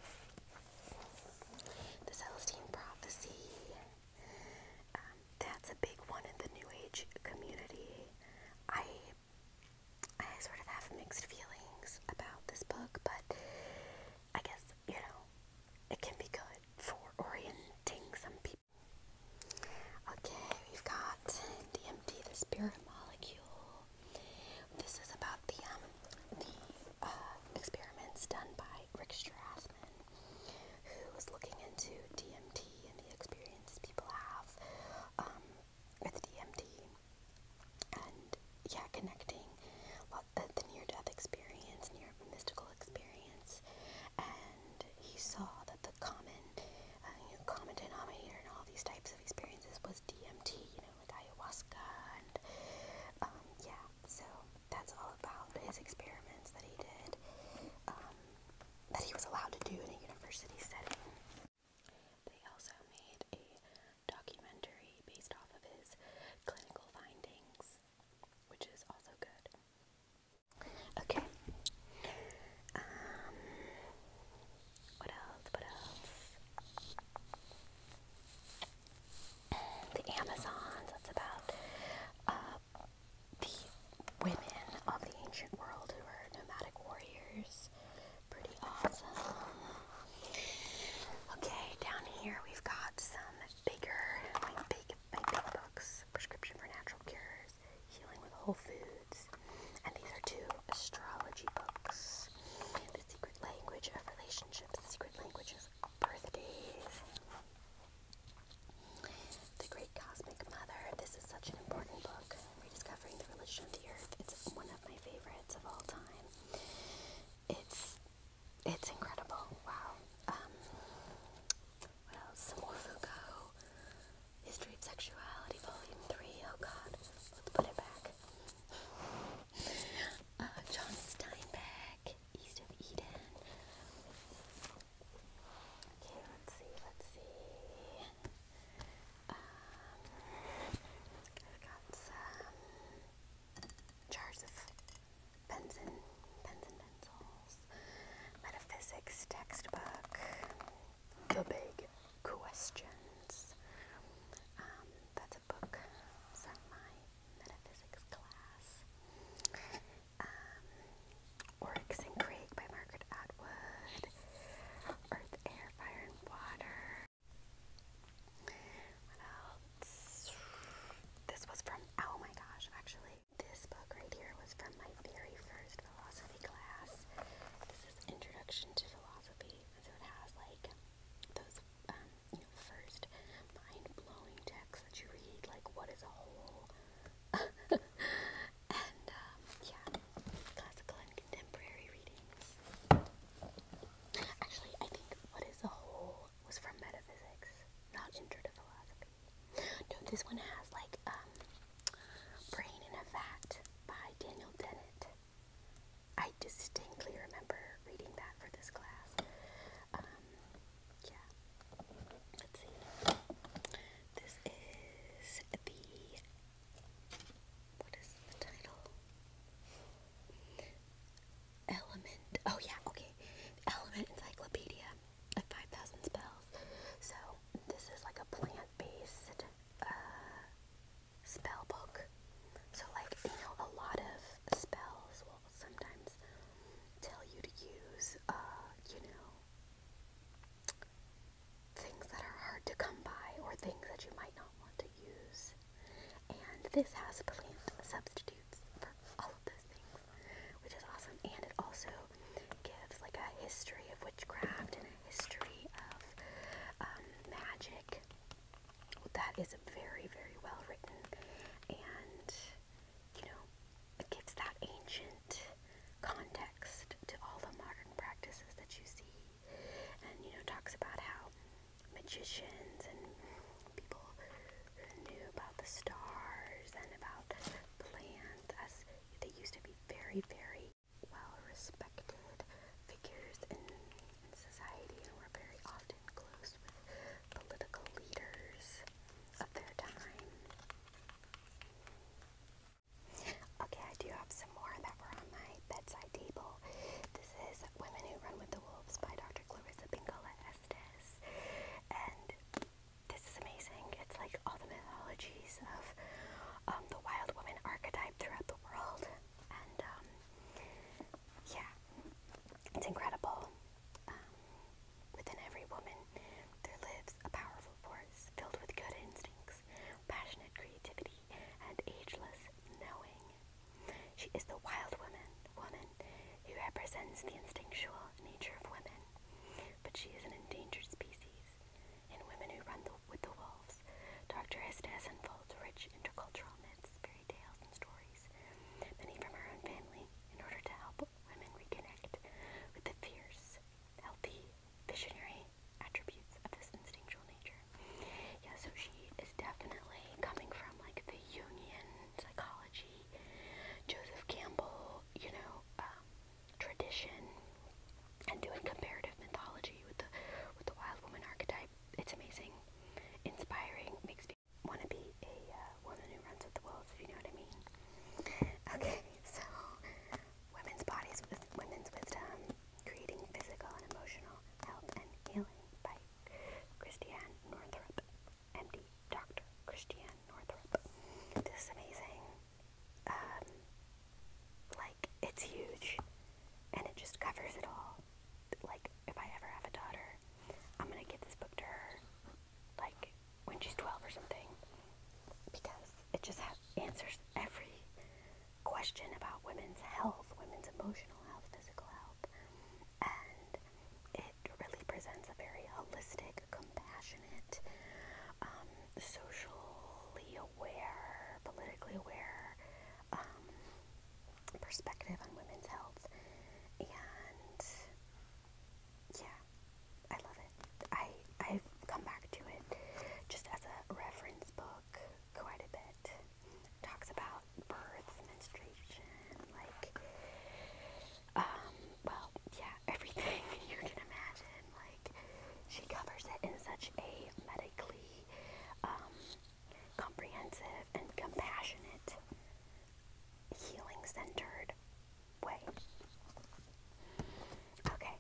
The Celestine Prophecy. Um, that's a big one in the New Age community. I I sort of have mixed feelings about this book, but I guess, you know, it can be good for orienting some people Okay, we've got DMT, the spirit molecule. This is about the um, the uh, experiments done by Rick Strassman, who was looking into DMT and the experience people have um, with DMT, and yeah, connecting uh, the near-death experience, near mystical experience, and he saw that the common, uh, you know, common denominator in all these types of experiences was DMT, you know, like ayahuasca and, um, yeah, so that's all about his experiments that he did, um, that he was allowed to do in a university setting. They also made a documentary based off of his clinical findings, which is also good. Okay. Um, what else? What else? The Amazons. That's about uh, the women of the ancient world who were nomadic warriors. Pretty awesome. Okay, down here we've got some bigger, big, big books. Prescription for Natural Cures. Healing with Whole Foods. And these are two astrology books. The Secret Language of Relationships, The Secret Language of Birthdays. The Great Cosmic Mother. This is such an important book. Rediscovering the Religion of the Earth. It's one of my favorites of all time. It's it's incredible. Wow. Um, what else? Some more Foucault. History of Sexuality, Volume 3. Oh god, let's put it back. Uh, John Steinbeck, East of Eden. Okay, let's see, let's see. Um, I've got some jars of Benson, Benson metaphysics textbook, the big questions. Um, that's a book from my metaphysics class. Um, Oryx and by Margaret Atwood. Earth, Air, Fire, and Water. What else? This was from, oh my gosh, actually, this book right here was from my very first philosophy class. This is Introduction to Philosophy. So it has like those um, you know, first mind-blowing texts that you read, like what is a whole? <laughs> and um, yeah, classical and contemporary readings. Actually, I think what is a whole was from metaphysics, not Introduction to philosophy. No, this one has like um Brain in a Vat by Daniel Dennett. I distinctly remember reading that for this class. Um, yeah. Let's see. This is the what is the title? Element. Oh yeah, okay. Element Encyclopedia like 5,000 spells. So this is like a plant-based uh, spell book. So like, you know, a lot of spells will sometimes tell you to use, uh, you know, things that are hard to come by or things that you might not want to use. And this has plant substitutes for all of those things, which is awesome. And it also gives like a history of witchcraft and a history of um, magic that is very, very well written. And, you know, it gives that ancient context to all the modern practices that you see. And, you know, talks about how magicians and people who knew about the stars and about plants as they used to be very, very well respected figures in, society and were very often close with political leaders of their time. Okay, I do have some more that were on my bedside table. This is Women Who Run with the Wolves by Dr. Clarissa Pinkola Estes. And this is amazing. It's like all the mythologies of um, the wild woman archetype throughout the world. And um, yeah, it's incredible. Um, within every woman, there lives a powerful force filled with good instincts, passionate creativity, and ageless knowing. She is the wild woman, woman who represents the instinctual nature of women, but she is an endangered species. In Women Who Run with the Wolves, Dr. Estes unfolds rich intercultural myths, fairy tales, and stories, many from her own family, in order to help women reconnect with the fierce, healthy, visionary attributes of this instinctual nature. Yeah, so she is definitely coming from like the union psychology, Joseph Campbell, you know, um, tradition and doing comparative mythology with the with the wild woman archetype. It's amazing, inspiring, makes me want to be a uh, woman who runs with the wolves, if you know what I mean. Okay, so women's bodies women's wisdom, creating physical and emotional health and healing by Christiane Northrup, MD, Dr. Christiane Northrup. This is amazing um, like it's huge and it just covers it all. Like if I ever have a daughter, I'm gonna give this book to her, like when she's 12 or something, because it just answers every question about women's health, women's emotional health, physical health, and it really presents a very holistic compassionate, um, socially aware, politically aware um, perspective on women's health. And yeah, I love it. I, I've come back to it just as a reference book quite a bit. Talks about birth, menstruation, like um, well, yeah, <laughs> everything you can imagine. Like, she covers it in such a medically um, comprehensive and compassionate, healing centered way. Okay,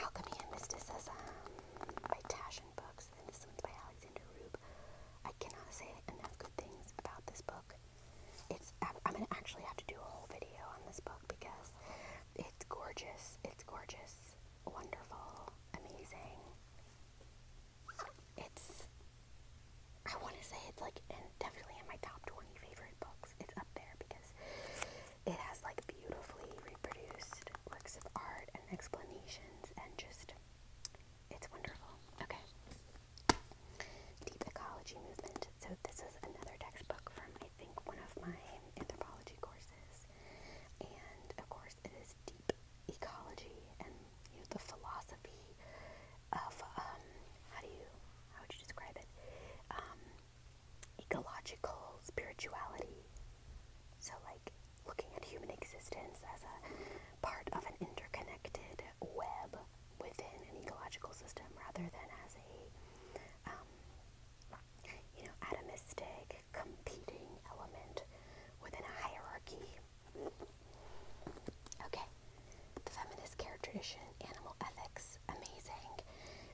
Alchemy and Mysticism by Tash and Books, and this one's by Alexander Rube. I cannot say enough good things about this book. It's I'm gonna actually have to do a whole video on this book because it's gorgeous. It's gorgeous, wonderful, amazing. It's, I want to say it's like definitely in my top 20 favorite books. It's up there because it has like beautifully reproduced works of art and explanations and just, it's wonderful. Okay. Deep Ecology Movement. So this is another textbook from think, one of my anthropology courses. And of course, it is deep ecology and you know, the philosophy of um, how do you how would you describe it? Um, ecological spirituality. So, like looking at human existence as a part of an interconnected web within an ecological system, rather than as a um, you know, atomistic, competing element within a hierarchy. Okay, the feminist care tradition, animal ethics, amazing.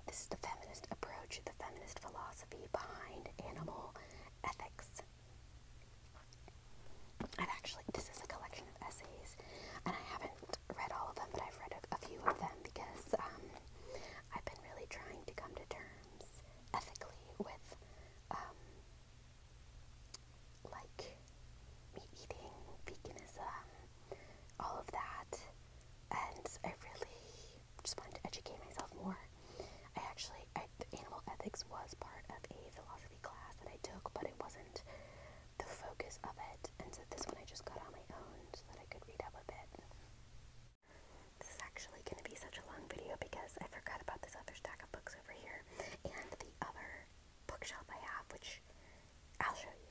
This is the feminist approach, the feminist philosophy behind animal ethics. I've actually, this is a collection of essays, and I haven't read all of them, but I've read a, few of them because um, I've been really trying to come to terms ethically with, um, like meat eating, veganism, all of that, and I really just wanted to educate myself more. I actually, I, animal ethics was part of a philosophy class that I took, but it wasn't the focus of it, and so this one I just got on my own so that I could read up a bit. This is actually going to be such a long video because I forgot about this other stack of books over here and the other bookshelf I have, which I'll show you.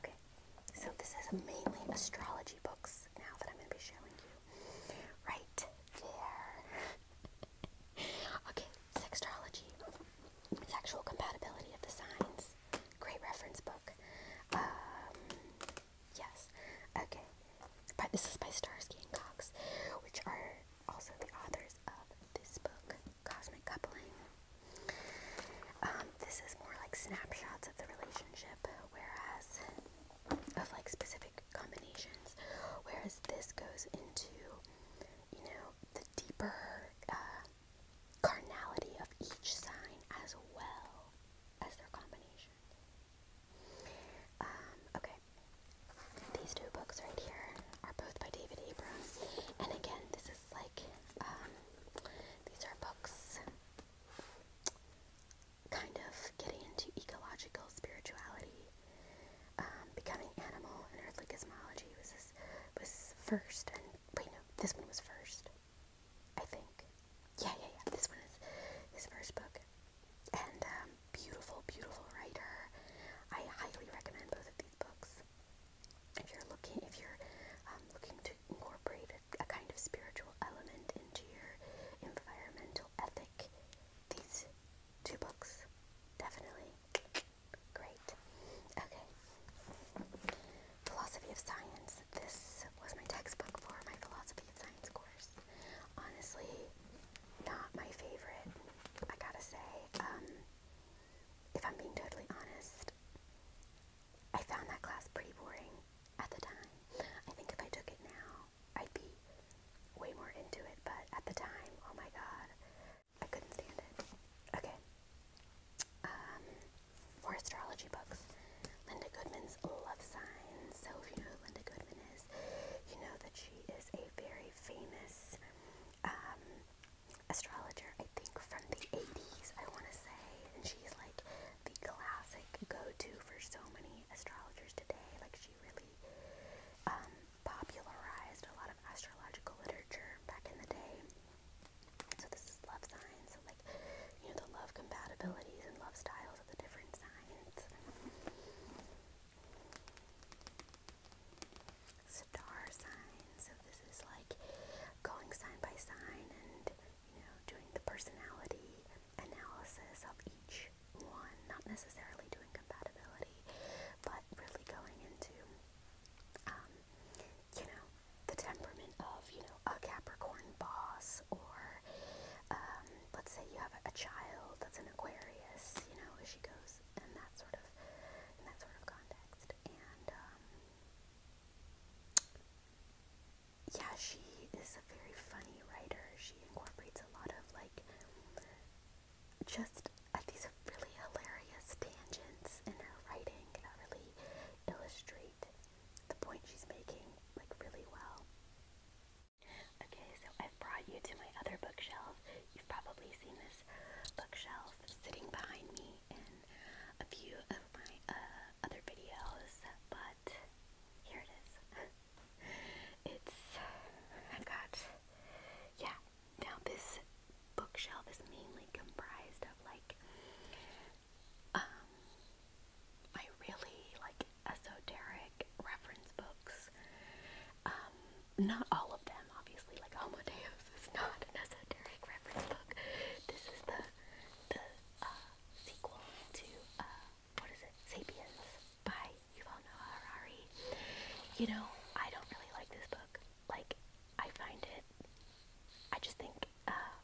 Okay, so this is mainly astrology books now that I'm going to be showing you. Right there. <laughs> okay, sextrology. Sexual compatibility of the signs. Great reference book. Um, yes. Okay. But this is by Starsky and Cox, which are also the authors of this book, Cosmic Coupling. Um, this is more like snapshots of the relationship, whereas of like specific combinations, whereas this goes into you know the deeper uh, carnality of each sign as well as their combinations. Um, okay, these two books right here are both by David Abrams, and again, this is like um, these are books kind of getting into ecological spirituality. Um, becoming Animal and Earthly Cosmology was this was first, and wait no, this one was first. I think. Yeah, yeah, yeah. This one is his first book. And um, beautiful, beautiful writer. I highly recommend both of these books. If you're looking, if you're um, looking to incorporate a, a kind of spiritual element into your environmental ethic, these two books definitely great. Okay, philosophy of science this was my textbook for my philosophy and science course. Honestly, not my favorite, I gotta say. Um, if I'm being totally honest, I found that class pretty boring at the time. I think if I took it now, I'd be way more into it, but at the time, oh my god, I couldn't stand it. Okay. Um, for astrology books. Linda Goodman's Love Signs. So if you know who Linda Goodman is, you know that she is a very famous um, astrologer, I think from the 80s, I want to say. And she's like the classic go-to for so many astrologers today. Like she really um, popularized a lot of astrological literature back in the day. So this is love signs, so like you know the love compatibilities and love styles of the different signs. Star signs, so this is like going sign by sign and you know doing the personality analysis of each one, not necessarily doing compatibility, but really going into um, you know the temperament of, you know, a Capricorn boss, or um, let's say you have a, a child that's an Aquarius, you know, as she goes in that sort of in that sort of context, and um, yeah, she is a very funny writer. She incorporates a lot of like just uh, these really hilarious tangents in her writing that really illustrate the point she's making like really well. Okay, so I've brought you to my other bookshelf. You've probably seen this bookshelf sitting behind me in a few of my uh, other videos, but here it is. <laughs> it's, I've got, yeah, now this bookshelf is mainly comprised of like um, I really like esoteric reference books. Um, not all of them, obviously. Like Alma Deus is not an esoteric reference book. This is the the uh, sequel to uh, what is it, *Sapiens* by Yuval Noah Harari. You know, I don't really like this book. Like, I find it. I just think uh,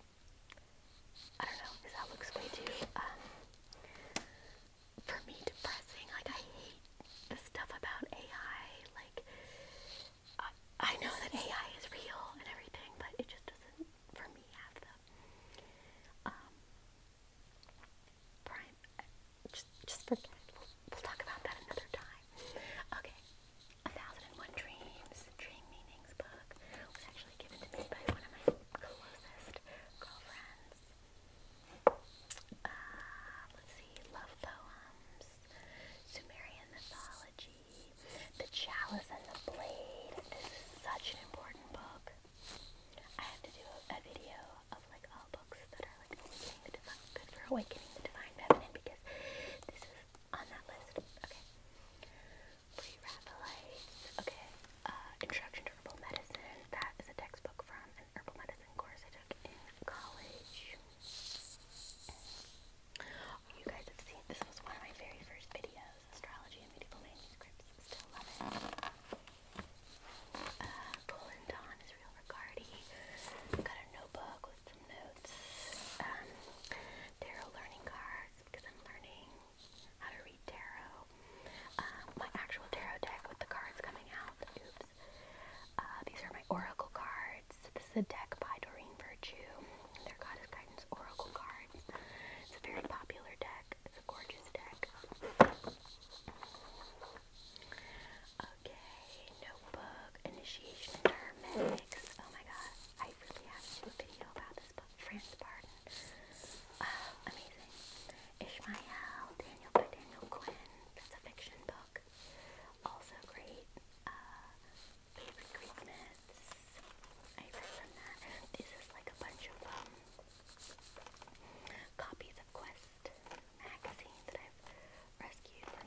I don't know, because that looks way too, um, for me, depressing. Like, I hate the stuff about AI. Like, uh, I know that AI is real and everything, but it just doesn't, for me, have the, um, prime, uh, just, just forget We'll, we'll talk about that another time. Okay, a Thousand and One Dreams, Dream Meanings book was actually given to me by one of my closest girlfriends. Uh, let's see, Love Poems, Sumerian Mythology, The Chalice and the Blade. This is such an important book. I have to do a video of like all books that are like awakening the divine, good for awakening the divine feminine because this is on that list. Okay. Pre-Raphaelites. Okay. Uh, Introduction to Herbal Medicine. That is a textbook from an herbal medicine course I took in college. You guys have seen this was one of my very first videos, astrology and medieval manuscripts. Still love it. Uh, Colin Don is real Got a notebook with some notes. Um, tarot learning cards because I'm learning how to read tarot. Um, my actual tarot deck with the cards coming out. Oops. Uh, these are my oracle cards. This is a deck by Doreen Virtue. Their Goddess Guidance Oracle cards. It's a very popular deck. It's a gorgeous deck. Okay, notebook, initiation, and Oh my god, I really have to a video about this book, Franz Barton. Uh, amazing. Ishmael, Daniel by Daniel Quinn. That's a fiction book. Also great. Uh, favorite I read from that. This is like a bunch of um, copies of Quest magazine that I've rescued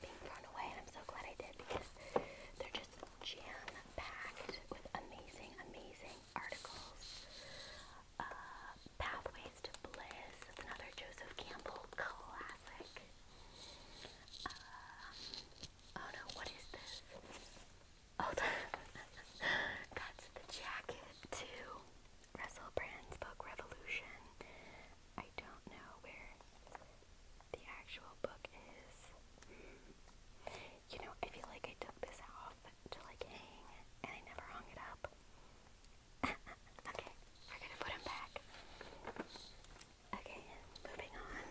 being thrown away, and I'm so glad I did because they're just jam-packed with amazing, amazing articles. Uh, Pathways to Bliss another Joseph Campbell classic. Uh, oh no, what is this? Oh, <laughs> that's the jacket to Russell Brand's book Revolution. I don't know where the actual book is. You know, I feel like I took this off to like hang and I never hung it up. <laughs> okay, we're gonna put them back. Okay, moving on.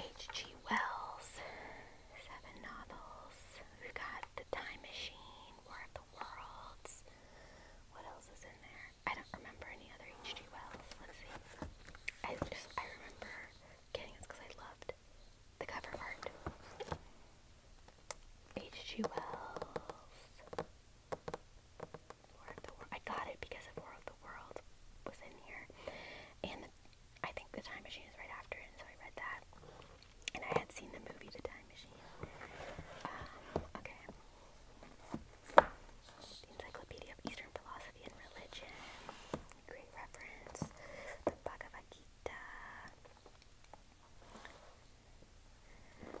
H.G. Wells, seven novels. we got The Time Machine, War of the Worlds. What else is in there? I don't remember any other H.G. Wells. Let's see. I just I remember getting it because I loved the cover art. H.G. Wells. Lord of the World. I got it because of War of the World was in here, and I think the Time Machine is right after it, and so I read that. And I had seen the movie The Time Machine. Um, okay. The Encyclopedia of Eastern Philosophy and Religion. Great reference. The Bhagavad Gita.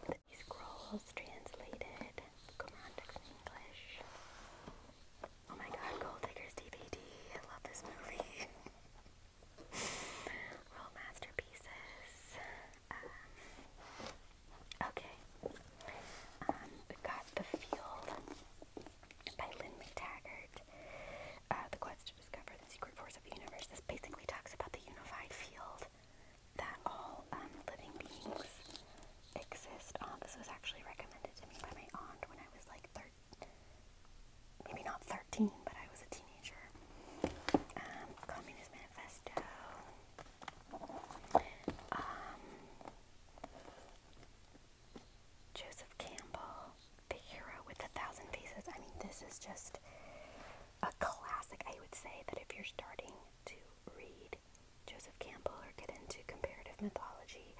The scrolls translated. Quran text in English. Oh my god, Gold Diggers DVD. I love this movie. <laughs> Real masterpieces. Um, okay. Um, we've got the field by Lynn McTaggart. Uh, the quest to discover the secret force of the universe. This basically talks about the unified field that all um, living beings exist on. This was actually recommended to me by my aunt when I was like 13, maybe not 13, but I was a teenager. Um, Communist Manifesto. Um, Joseph Campbell, The Hero with a Thousand Faces. I mean, this is just a classic. I would say that if you're starting to read Joseph Campbell or get into comparative mythology,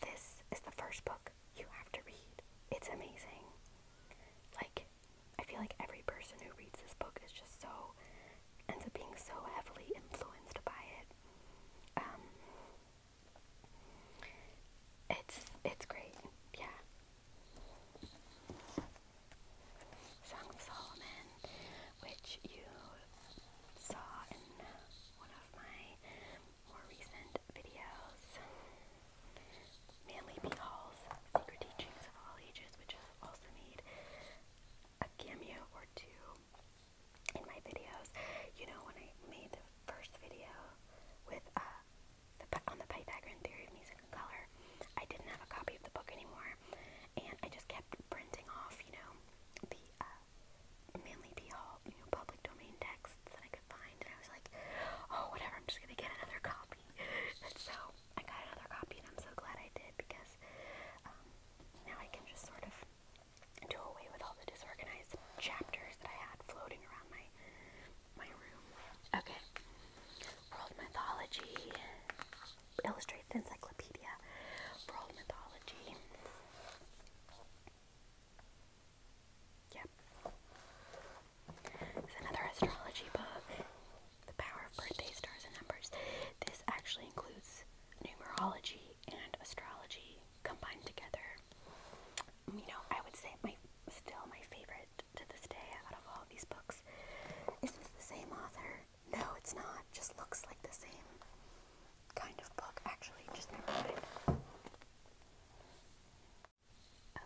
this is the first book you have to read. It's amazing. Like, I feel like every person who reads this book is just so, ends up being so heavily influenced by it. Um, it's it's great, yeah. Song of Solomon, which you saw in one of my more recent videos, Manly B. Secret Teachings of All Ages, which also made a cameo or two in my videos. You know, when I made the first video with uh, the, on the Pythagorean theory of music and color, I didn't have a copy of the book anymore, and I just kept printing off, you know, the uh, Manly P. Hall uh, you know, public domain texts that I could find, and I was like, oh, whatever, I'm just gonna get another copy. <laughs> and so I got another copy, and I'm so glad I did because um, now I can just sort of do away with all the disorganized chapters that I had floating around my my room. Okay. World mythology. Illustrated encyclopedia. World mythology. Yep. It's another astrology book. The power of birthday stars and numbers. This actually includes numerology and astrology combined together. You know, I would say my still my favorite to this day out of all these books. Is this the same author? No, it's not. Just looks like the same kind of book, actually. Just never mind.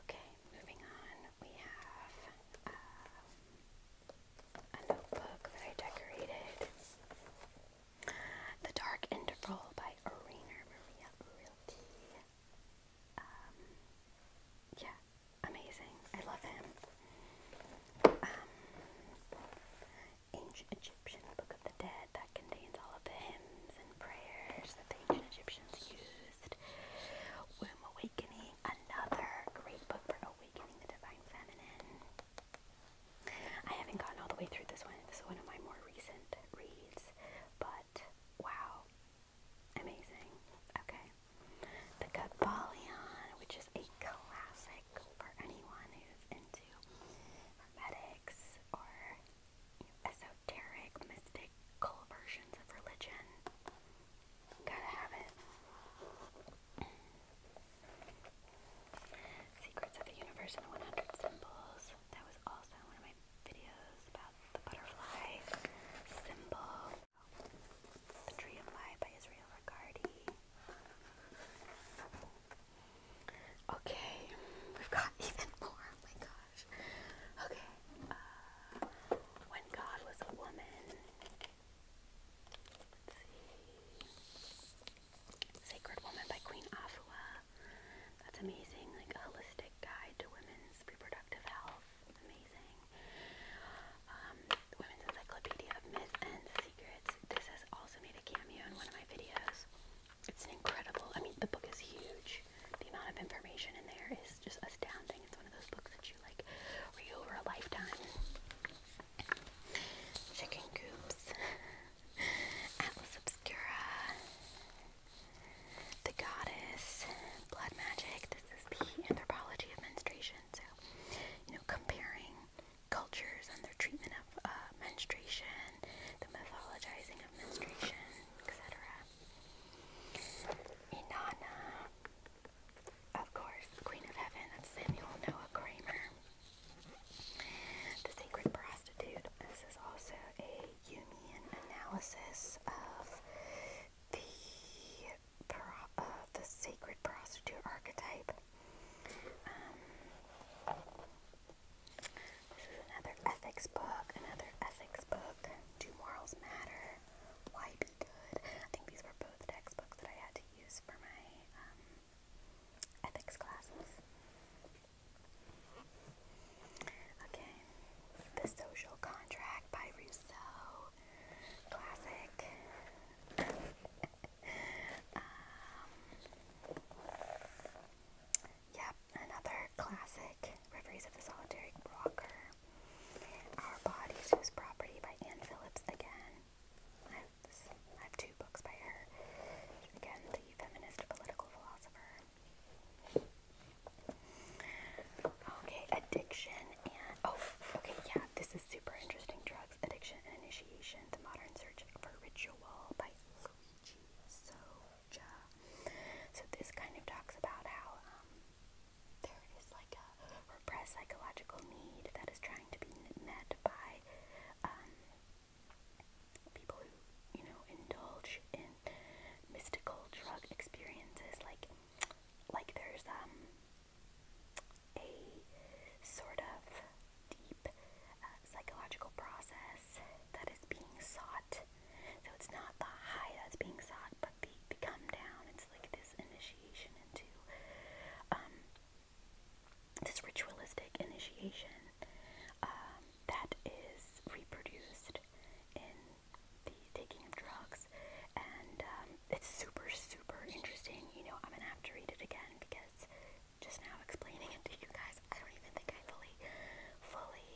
Okay, moving on. We have um, a notebook that I decorated. The Dark Interval by Arena Maria Realty. Um, yeah, amazing. I love him. Um, ancient Egyptian Book of the Dead that contains all of the hymns and prayers that the ancient Egyptians used. Womb Awakening, another great book for awakening the divine feminine. I haven't gotten all the way through this one. This is one of my more recent reads, but wow, amazing. Okay, The Kabbalion, which is a classic for anyone who's into hermetics or esoteric, mystical versions of religion. Gotta have it. Secrets of the Universe in 100 Symbols. That was also one of my videos about the butterfly symbol. The Tree of Life by Israel Ricardi. Okay, we've got <laughs> even more. Oh my gosh. Okay. Uh, when God was a woman. Let's see. Sacred Woman by Queen Afua. That's amazing. Like a holistic guide to women's reproductive health. Amazing. Um, women's Encyclopedia of Myths and Secrets. This has also made a cameo in one of my videos. It's an incredible, I mean, the book is huge. The amount of information in there is just astounding. It's one of those books that you like read over a lifetime. Chicken coops. <laughs> Atlas Obscura, The Goddess, Blood Magic. This is the anthropology of menstruation. So, you know, comparing cultures and their treatment of uh, menstruation, the mythologizing of menstruation, etc. Inanna, of course, Queen of Heaven. That's Samuel Noah Kramer. The Sacred Prostitute. This is also a Jungian analysis of the pro the sacred prostitute archetype. Um, this is another ethics book. Another ethics book. Do morals matter? Why be good? I think these were both textbooks that I had to use for my um, ethics classes. Okay, The Social Contract by Rousseau, classic. <laughs> Um, yep, another classic, Reveries of the Solitary Walker. Our Bodies Whose Property by Anne Phillips again. This, I have two books by her. Again, the feminist political philosopher. Okay, addiction and oh, okay, yeah, this is super interesting. Drugs, addiction, and initiation: the modern search for ritual by Luigi Soja. So this kind of talks about how um, there is like a repressed psychological need that is trying to be met by um, people who, you know, indulge in mystical drug experiences, like like there's um a sort of deep uh, psychological process that is being sought. So it's not the high that's being sought, but the, the come down. It's like this initiation into um this ritualistic initiation um, that is reproduced in the taking of drugs, and um, it's super, super interesting. You know, I'm gonna have to read it again because just now explaining it to you guys, I don't even think I fully, fully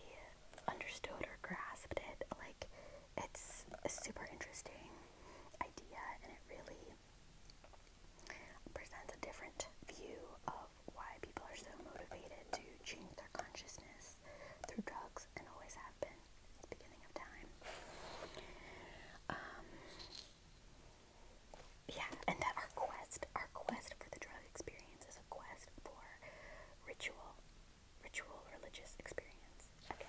understood or grasped it. Like, it's a super interesting idea, and it really presents a different view of why people are so motivated to change their consciousness through drugs and always have beginning of time. Um, yeah, and that our quest, our quest for the drug experience is a quest for ritual, ritual religious experience. Okay.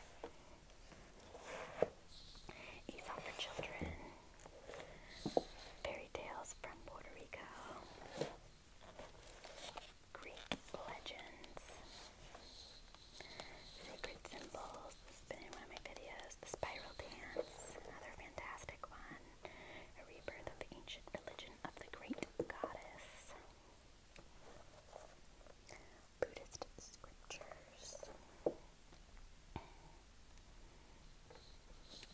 Aesop for children. Fairy tales from Puerto Rico, Greek legends, sacred symbols. This has videos. The spiral dance, another fantastic one. A rebirth of the ancient religion of the great goddess. Buddhist scriptures.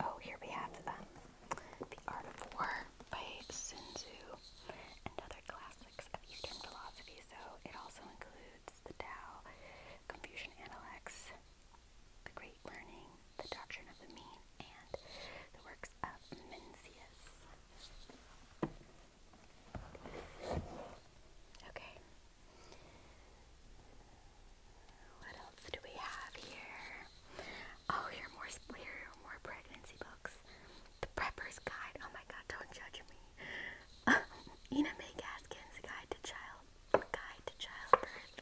Oh, here we have um, The Art of War by Sun Tzu and other classics of Eastern philosophy. So it also includes the Tao, Confucian Analects, The Great Learning, The Doctrine of the Mean, and the works of Mencius. Okay. What else do we have here? Oh, here more here more pregnancy books. The Prepper's Guide. Oh my God! Don't judge me. <laughs> Ina May Gaskin's Guide to Child Guide to Childbirth.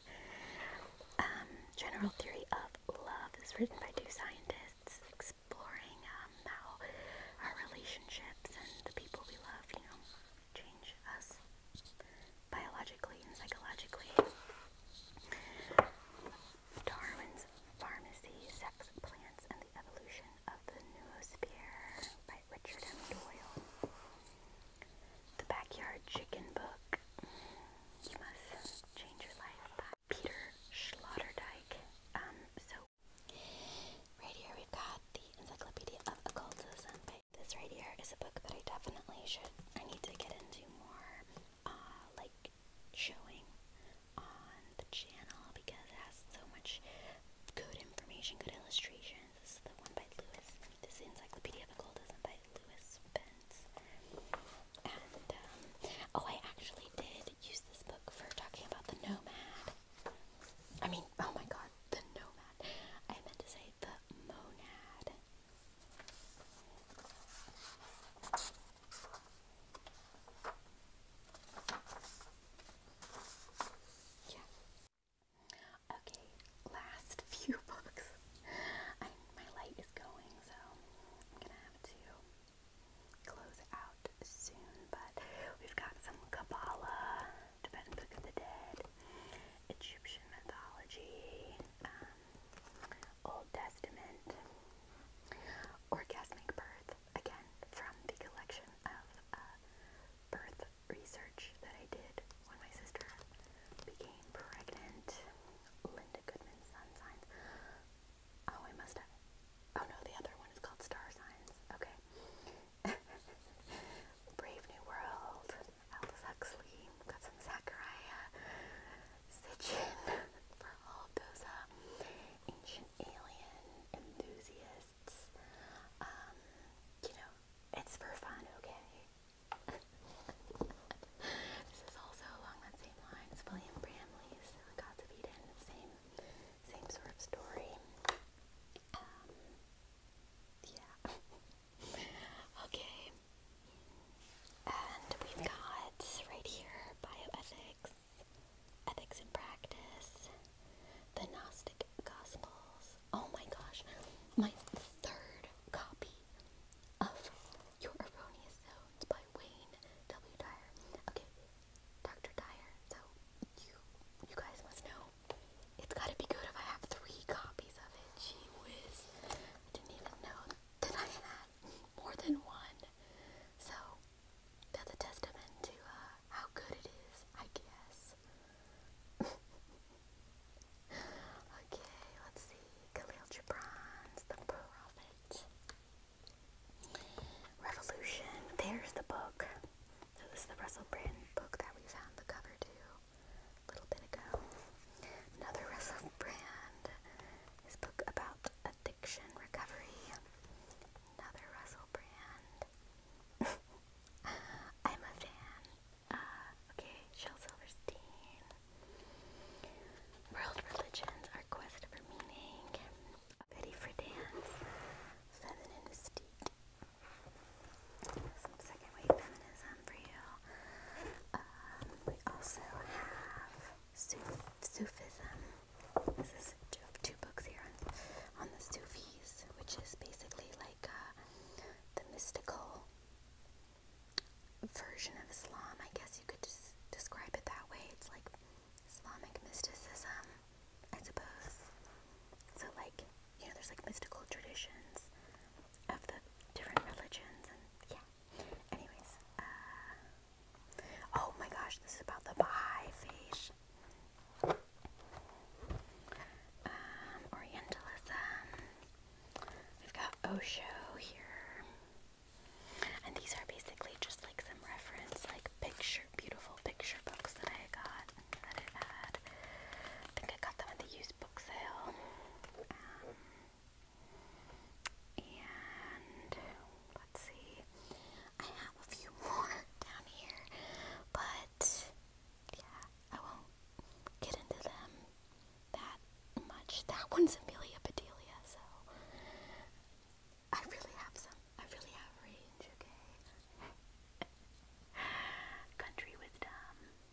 Um, General Theory of Love is written by two scientists exploring um, how our relationships and the people we love, you know, change us biologically and psychologically. Darwin's Pharmacy, Sex, Plants, and the Evolution of the Noosphere by Richard Doyle. The Backyard Chicken Book. You must change your life Peter Schlotterdijk. Um, so right here we've got the Encyclopedia of Occultism by this right here is a book that I definitely should I need to get into more uh like showing on the channel because it has so much good information, good illustrations. This is the one by Lewis. This Encyclopedia of Occultism by Lewis Spence. Um, oh I actually did use this book for talking about the nomad. I mean, oh my god, the nomad. I meant to say the monad. Yeah. Okay, last <laughs> few books. my light is going, so I'm gonna have to close out soon, but we've got some Kabbalah. Tibetan Book of the Dead, Egyptian mythology, um, Old Testament, Orgasmic Birth, again from the collection of uh, birth research that I did when my sister became pregnant, Linda Goodman Sun Signs. Oh, I must have. Oh no, the other one is called Star Signs. Okay. <laughs> Brave New World, Aldous Huxley, got some Zachariah Sitchin for all those uh, ancient alien enthusiasts. Um, you know, it's for fun, okay? <laughs> this is also along that same line. William Bramley's Gods of Eden, same, same sort of story. Um, yeah. <laughs> Okay. And we've got right here bioethics, ethics in practice, the Gnostic Gospels. Oh my gosh, my third copy of Your Erroneous Zones by Wayne W. Dyer. Okay, Dr. Dyer. So you you guys must know it's gotta be good if I have three copies of it. Gee whiz. didn't even know that I had more than one. So, that's a testament to uh, how good it is, I guess. <laughs> okay, let's see. Khalil Gibran's The Prophet. Revolution. There's the book. So this is the Russell Brand book that we found the cover to a little bit ago. Another Russell Brand, his book about addiction recovery. Another Russell Brand. <laughs> I'm a fan. Uh, okay, Shel Silverstein. World Religions, Our Quest for Meaning. Betty Friedan's Feminine Mystique some second wave feminism for you. Um, we also have Suf Sufism. This is two, two books here on, on the Sufis, which is basically like uh, the mystical version of Islam. I guess you could just describe it that way. It's like Islamic mysticism, I suppose. So, like, you know, there's like mystical traditions of the different religions and yeah. Anyways, uh, oh my gosh, this is about the Baha'i faith, um, Orientalism. We've got Osho here, and these are basically just like some reference, like picture, beautiful picture books that I got that I had. I think I got them at the used book sale. and let's see, I have a few <laughs> more down here, but yeah, I won't get into them that much. That one's Amelia Bedelia, so I really have some. I really have range, okay? <laughs> Country wisdom.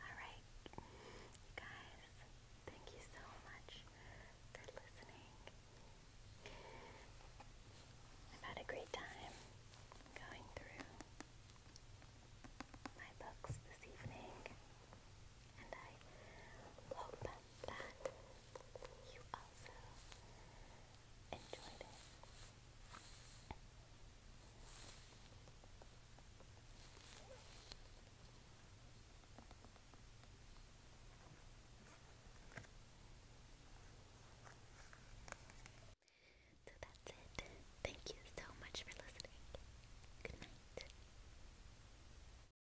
Alright, you guys, thank you so much for listening. I've had a great time going through my books this evening. So that's it. Thank you so much for listening. Good night.